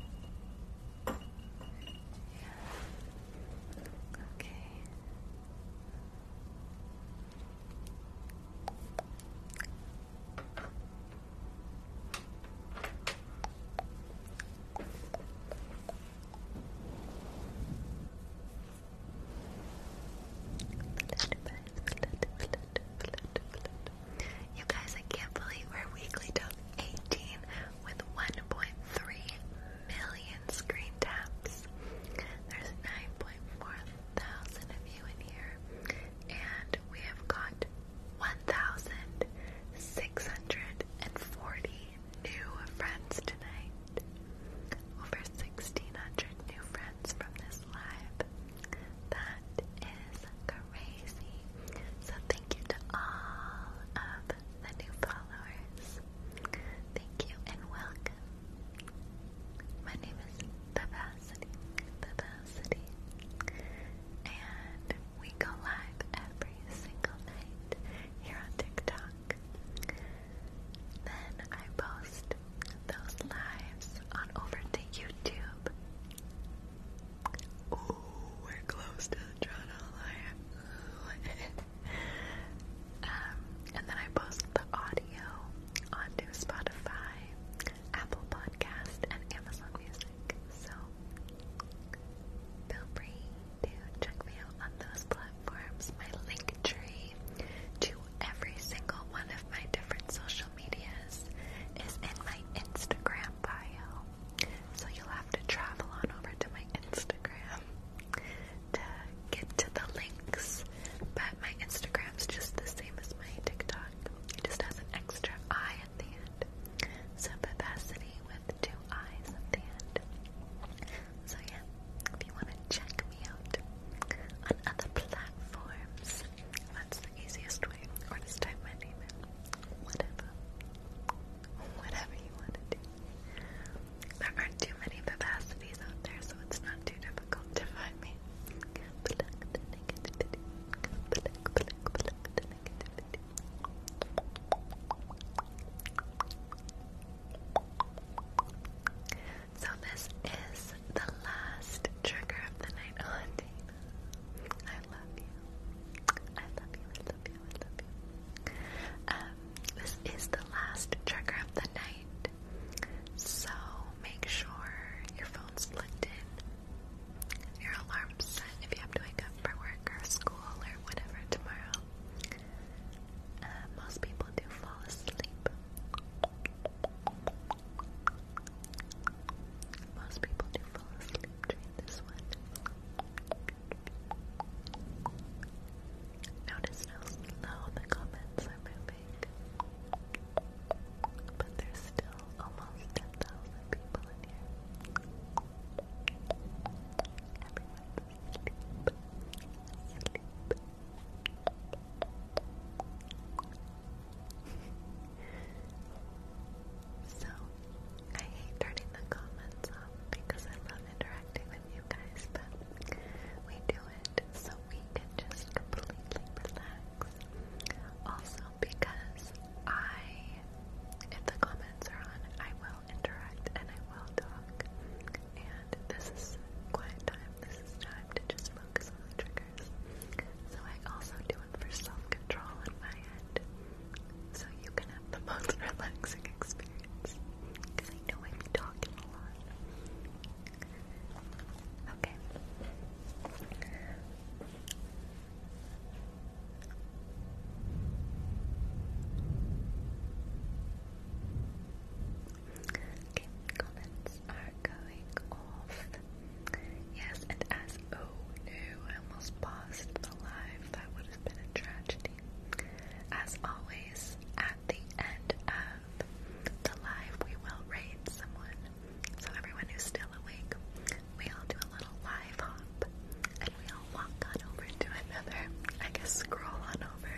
You guys, I can't believe we're weekly top 18 with 1.3 million screen taps. There's 9.4 thousand of you in here, and we have got 1,640 new friends tonight. Over 1,600 new friends from this live. That is crazy. So thank you to all of the new followers. Thank you and welcome. My name is Vivacity. Vivacity. And we go live every single night here on TikTok. Then I post those lives on over to YouTube. Oh, we're close to the Toronto um, and then I post the audio onto Spotify, Apple Podcast, and Amazon Music. So feel free to check me out on those platforms. My link tree to every single one of my different social medias is in my Instagram bio. So you'll have to travel on over to my Instagram to get to the links. But my Instagram's just the same as my TikTok. It just has an extra I at the end. So Vivacity with two I's at the end. So yeah, if you want to check me out on other platforms, let's easiest way, just type my name in. Whatever. Whatever you want to do. There aren't too many vivacities out there, so it's not too difficult to find me. So this is the last trigger of the night hunting. I love you, I love you, I love you. Um, this is the last trigger of the night. So make sure your phone's plugged in, your alarm's set if you have to wake up for work or school or whatever tomorrow. Uh, most people do fall asleep. Most people do fall asleep. Try this Notice how slow the comments are moving. But there's still almost 10,000 people in here. so I hate turning the comments off because I love interacting with you guys, but we do it so we can just completely relax. Also, because I, if the comments are on, I will interact and I will talk. And this is quiet time, this is time to just focus on the triggers. So I also do it for self control in my head so you can have the most relaxing experience. Because I know I be talking a lot. Okay. Okay, comments are going off. Yes, and as oh no, I almost paused the live. That would have been a tragedy. As always, at the end of the live, we will raid someone. So everyone who's still awake, we all do a little live hop, and we all walk on over to another. I guess scroll on over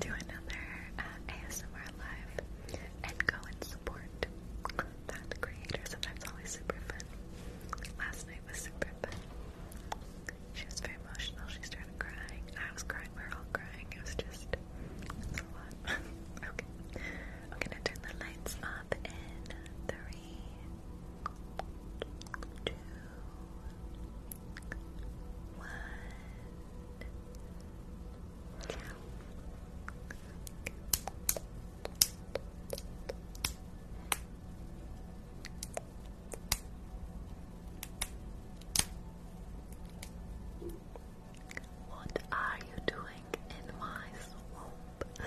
to another uh, ASMR live and go and support content creators, and that's always super fun. Last night was super fun. She was very emotional. She started crying. I was crying. We are all crying. It was just okay. I'm gonna turn the lights off in three, two, one. What are you doing in my swamp?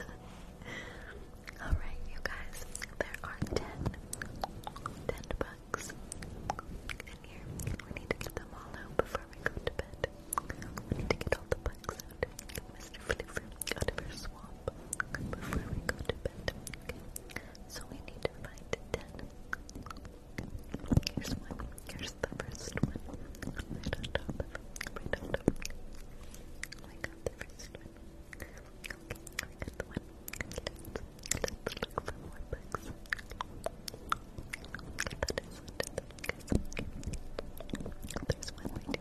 Alright, you guys, there are 10, 10 in here. We need to get them all out before we go to bed. We need to get all the bucks Mr. Fliver out of her swamp before we go to bed. So we need to find ten. Here's one. Here's the first one. Right on top of right on top. We got the first one. we got the one. Let's, look for more books. That is one There's one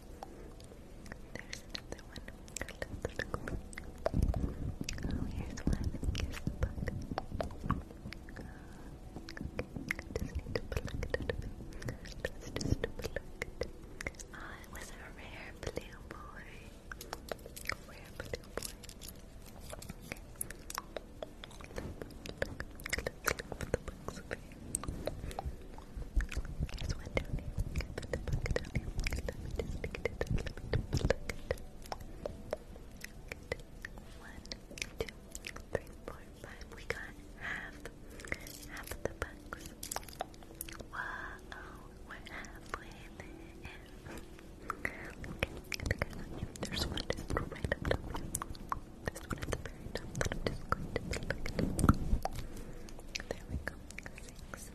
There's another one. Oh, here's one. Here's the bug. Uh, okay, I just need it out of it. it. Ah, oh, was a rare blue boy. Rare blue boy. Here's one one, two, three, four, five. We got half, half the bucks. Wow, we're halfway there's one right up top. This one at the very top. There we go. Six.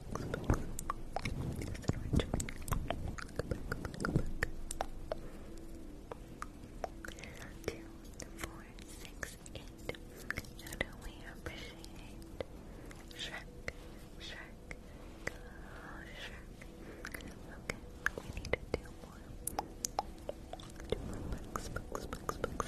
books, books. Two, four, six, eight. How do we appreciate Shrek? Shrek. Shrek. Okay, we need to do more. Two books, books, books, books.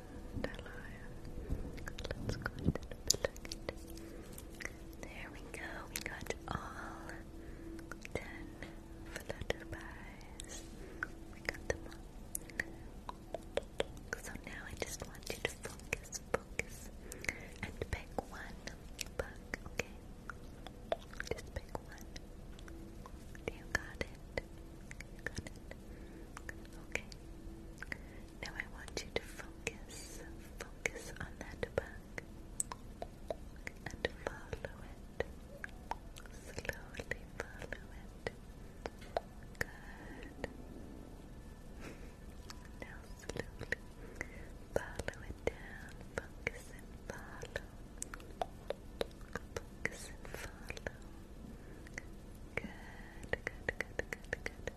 let There we go. We got all ten flutterpies. We got them all. So now I just want you to focus, focus, and pick one bug, okay? Just pick one. You got it. got it. Okay. Now I want you to focus, focus on that bug and follow it. Slowly follow it. Good. Now slowly follow it down. Focus and follow. Focus and follow. Good, good, good, good, good.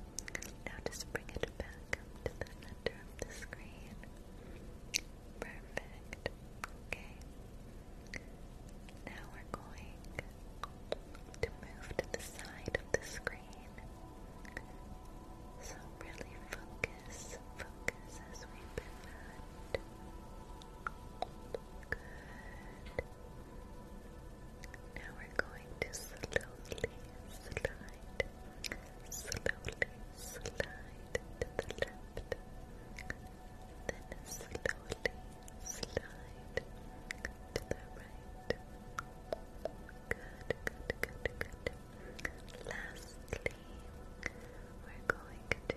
Now just bring it back to the center of the screen. Perfect. Okay. Now we're going to move to the side of the screen. So really focus, focus as we've been Good. Now we're going to slowly slide, slowly slide to the left, then slowly slide to the right. Good, good, good, good. Lastly, we're going to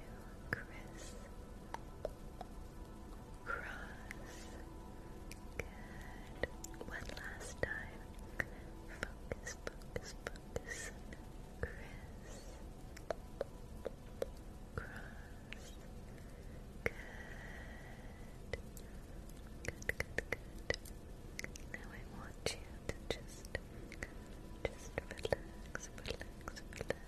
crisp, Cross. Good. One last time. Focus, focus, focus. Cross. Good. Good, good, good. Now I want you to just, just relax, relax, relax.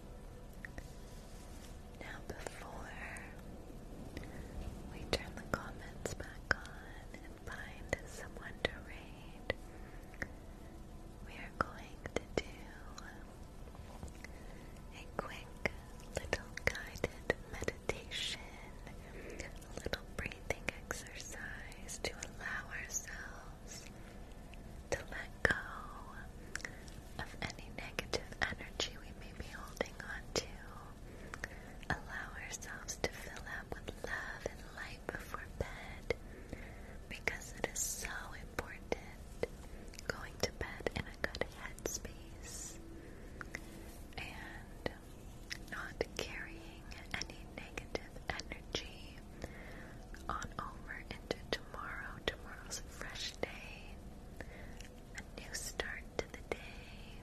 Now, before we turn the comments back on and find someone to raid, we are going to do a quick little guided meditation, a little breathing exercise to allow ourselves to let go of any negative energy we may be holding on to. Allow ourselves to fill up with love and light before bed because it is so important going to bed in a good headspace and not carrying any negative energy energy on over into tomorrow. Tomorrow's a fresh day, a new start to the day.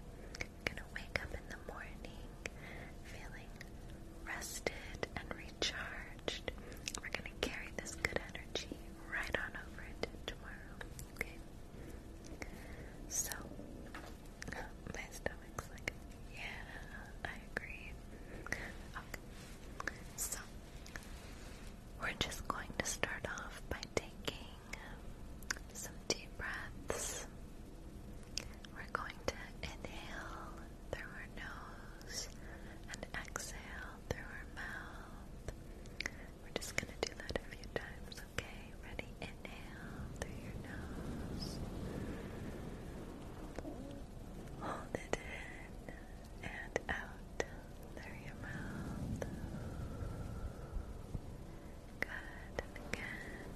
gonna wake up in the morning feeling rested and recharged. We're gonna carry this good energy right on over into tomorrow, okay? So, my stomach's like, yeah, I agree. Okay, so we're just going to start off by taking some deep breaths. We're going to inhale through our nose and exhale through our mouth. We're just going to do that a few times, okay? Ready? Inhale through your nose. Hold it in and out through your mouth. Good, again,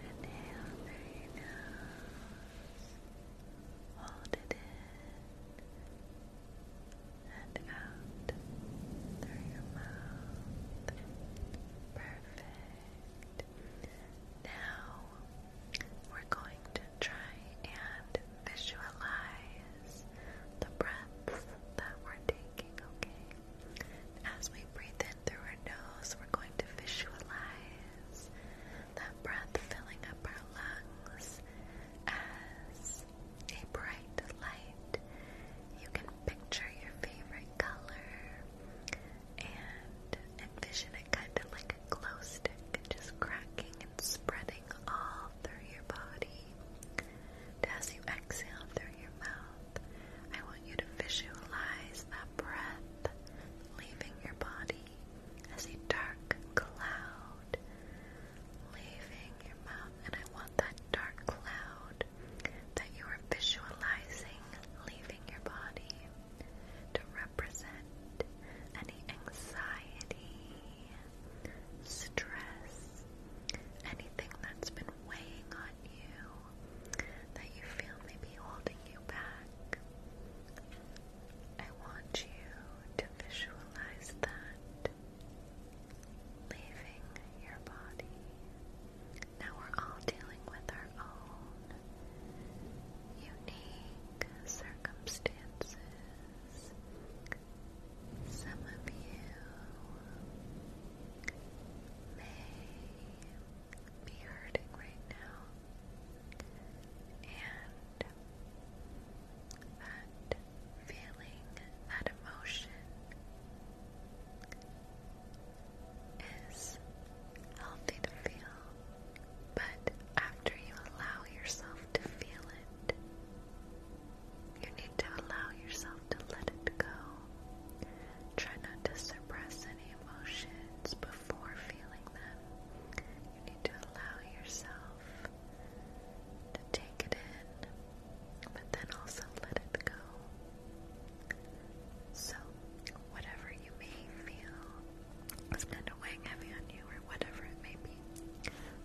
inhale through your nose, hold it in, and out through your mouth. Perfect. Now we're going to try and visualize the breaths that we're taking, okay? As we breathe in through our nose, we're going to visualize that breath filling up our lungs as a bright light. You can picture your favorite color and envision it kind of like a glow stick just cracking spreading all through your body. as you exhale through your mouth, I want you to visualize that breath leaving your body as a dark cloud leaving your mouth. And I want that dark cloud that you are visualizing leaving your body to represent want, any anxiety, stress, anything that's been weighing on you that you feel may be holding you back. I want you to visualize that leaving your body. Now we're all dealing with our own unique circumstances some of you may be hurting right now, and that feeling, that emotion is healthy to feel. But after you allow yourself to feel it. You need to allow yourself to let it go. Try not to suppress any emotions before feeling them. You need to allow yourself to take it in, but then also let it go. So, whatever you may feel, is kind of weighing heavy on you, or whatever it may be.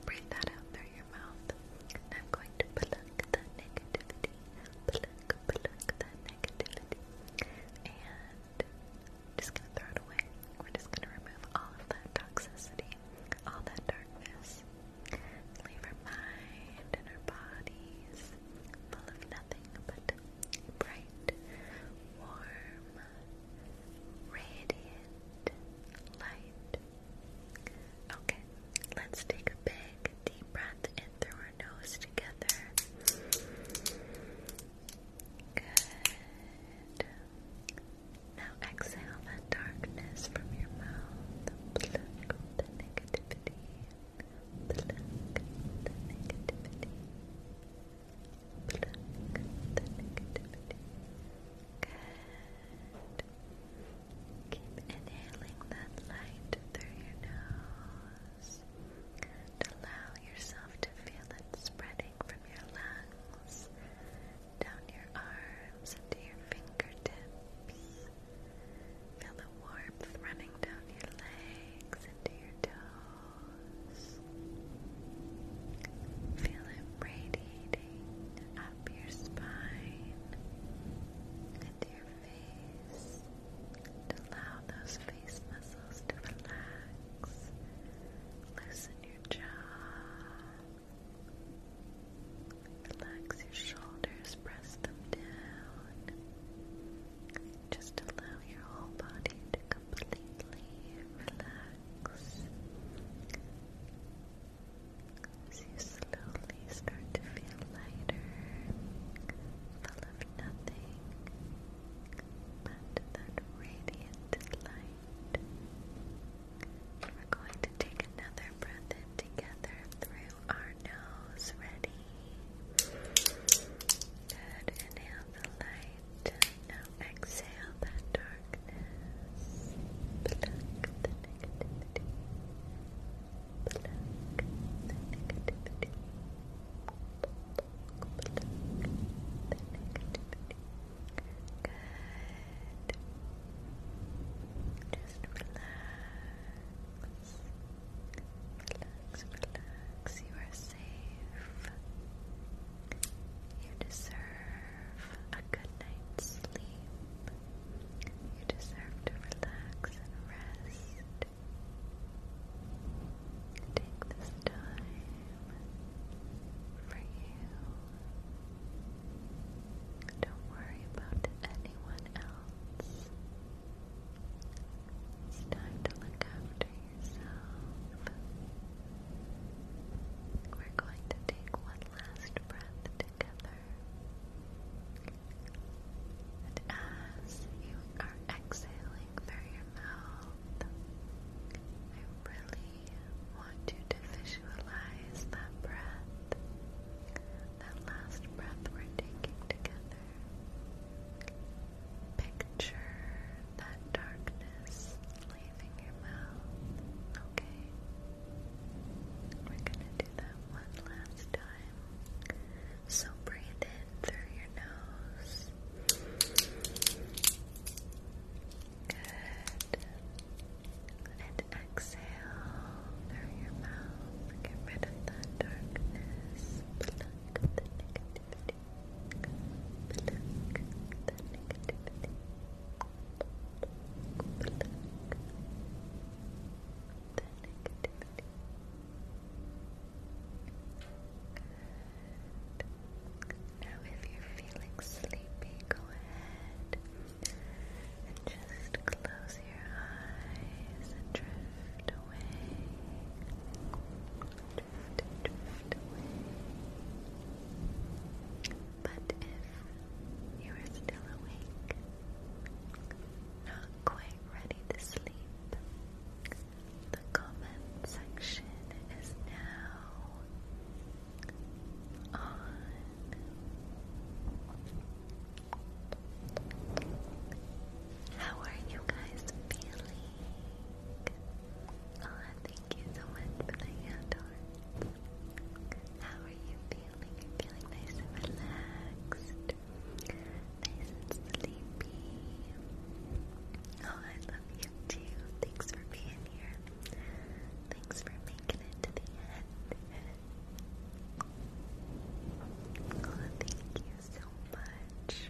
Breathe that out through your mouth. I'm going to pluck the negativity, pluck, pluck the negativity, and just gonna throw it away. We're just gonna remove all of that toxicity, all that darkness. Leave our mind and our bodies full of nothing but bright, warm, radiant light. Okay, let's take a big deep breath in through our nose together. Good. Now exhale that darkness from your mouth. the negativity. Pluck the inhaling that light through your nose. And allow yourself to feel it spreading from your lungs, down your arms, into your fingertips. Feel the warmth running down your legs, into your toes. Feel it radiating up your spine into your face. allow those face muscles to relax. Loosen your jaw. Relax your shoulders, press them down. Just allow your whole body to completely relax. As you slowly start to feel lighter, full of nothing but that radiant light. We're going to take another breath in together through our nose. Ready? Good. Inhale the light. Now exhale that darkness. Pluck the negativity. Pluck the negativity. Good. Just relax. Relax, relax. You are safe. You deserve a good night's sleep. You deserve to relax and rest. Take this time for you. Don't worry about anyone else. It's time to look after yourself. We're going to take one last breath together. And as you are exhaling through your mouth, I really want you to visualize that breath, that last breath we're taking together. Picture that darkness leaving your mouth, okay? We're gonna do that one last time. So breathe in through your nose. Good. And exhale through your mouth. Get rid of that darkness. Now, if you're feeling sleepy, go ahead and just close your eyes and drift away. Drift, drift away. But if you are still awake, not quite ready to sleep, the comment section is now on. How are you guys feeling? Thank you so much for the hand How are you feeling? feeling nice and relaxed, and sleepy. Oh, I love you too. Thanks for being here. Thanks for making it to the end. Oh, thank you so much.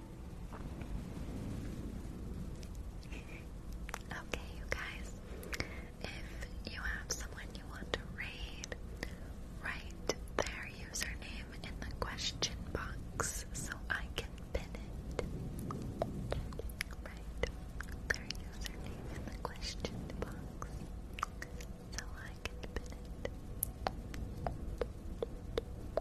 Okay, you guys, if you have someone you want to raid, write their username in the question box so I can pin it. Write their username in the question box so I can pin it.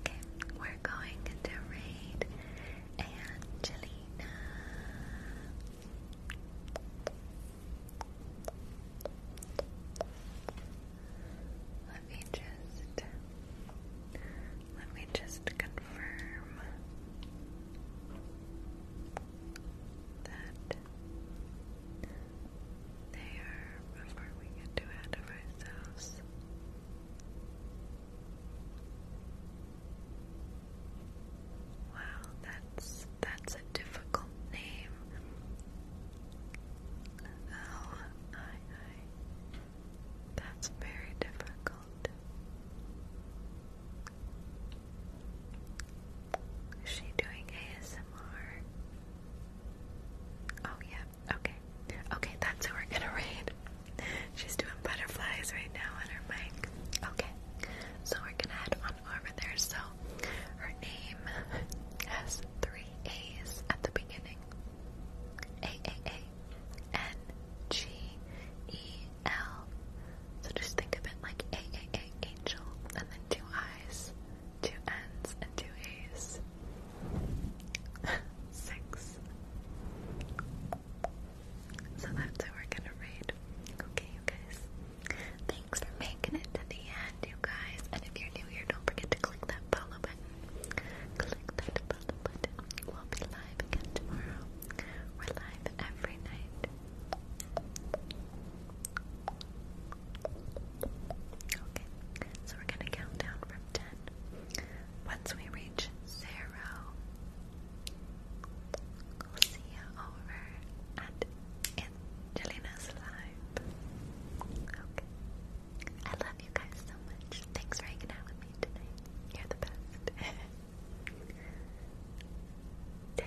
Okay, we're going to read Angelina. Let me just let me just confirm that there before we get too ahead of ourselves. Wow, that's that's a difficult name. Oh, That's very difficult. Is she doing ASMR? Oh, yeah, Okay. Okay, that's who we're gonna read. She's doing butterflies right now on her mic. Okay. So we're gonna head on over there. So her name has three A's at the beginning. A A A N G E L. So just think of it like A A A angel and then two eyes two N's and two A's. Six. So that's what we're gonna read. Okay, you guys. Thanks for making it to the end, you guys. And if you're new here, don't forget to click that follow button. Click that follow button. We'll be live again tomorrow. We're live every night. Okay, so we're gonna count down from once we reach zero, we'll see you over at Angelina's Live. Okay. I love you guys so much. Thanks for hanging out with me tonight. You're the best. 10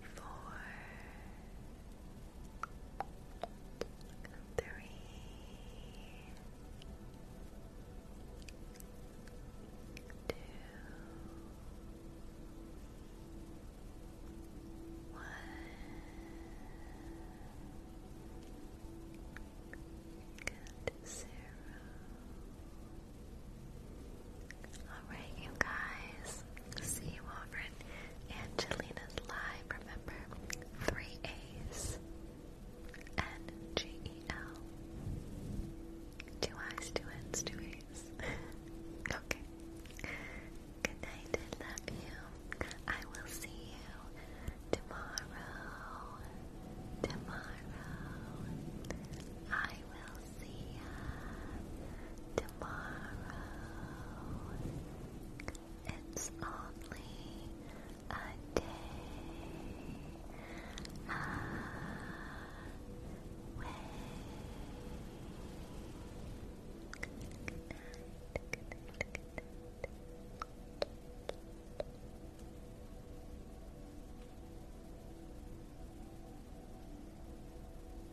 four, three, two, one. Good zero. Alright, you guys. See you over Angelina's Live. Remember, three A's and L. Two I's, two N's, two A's. okay. Good night. I love you. I will see you tomorrow. Tomorrow. I will see ya tomorrow. It's only a day away. good night.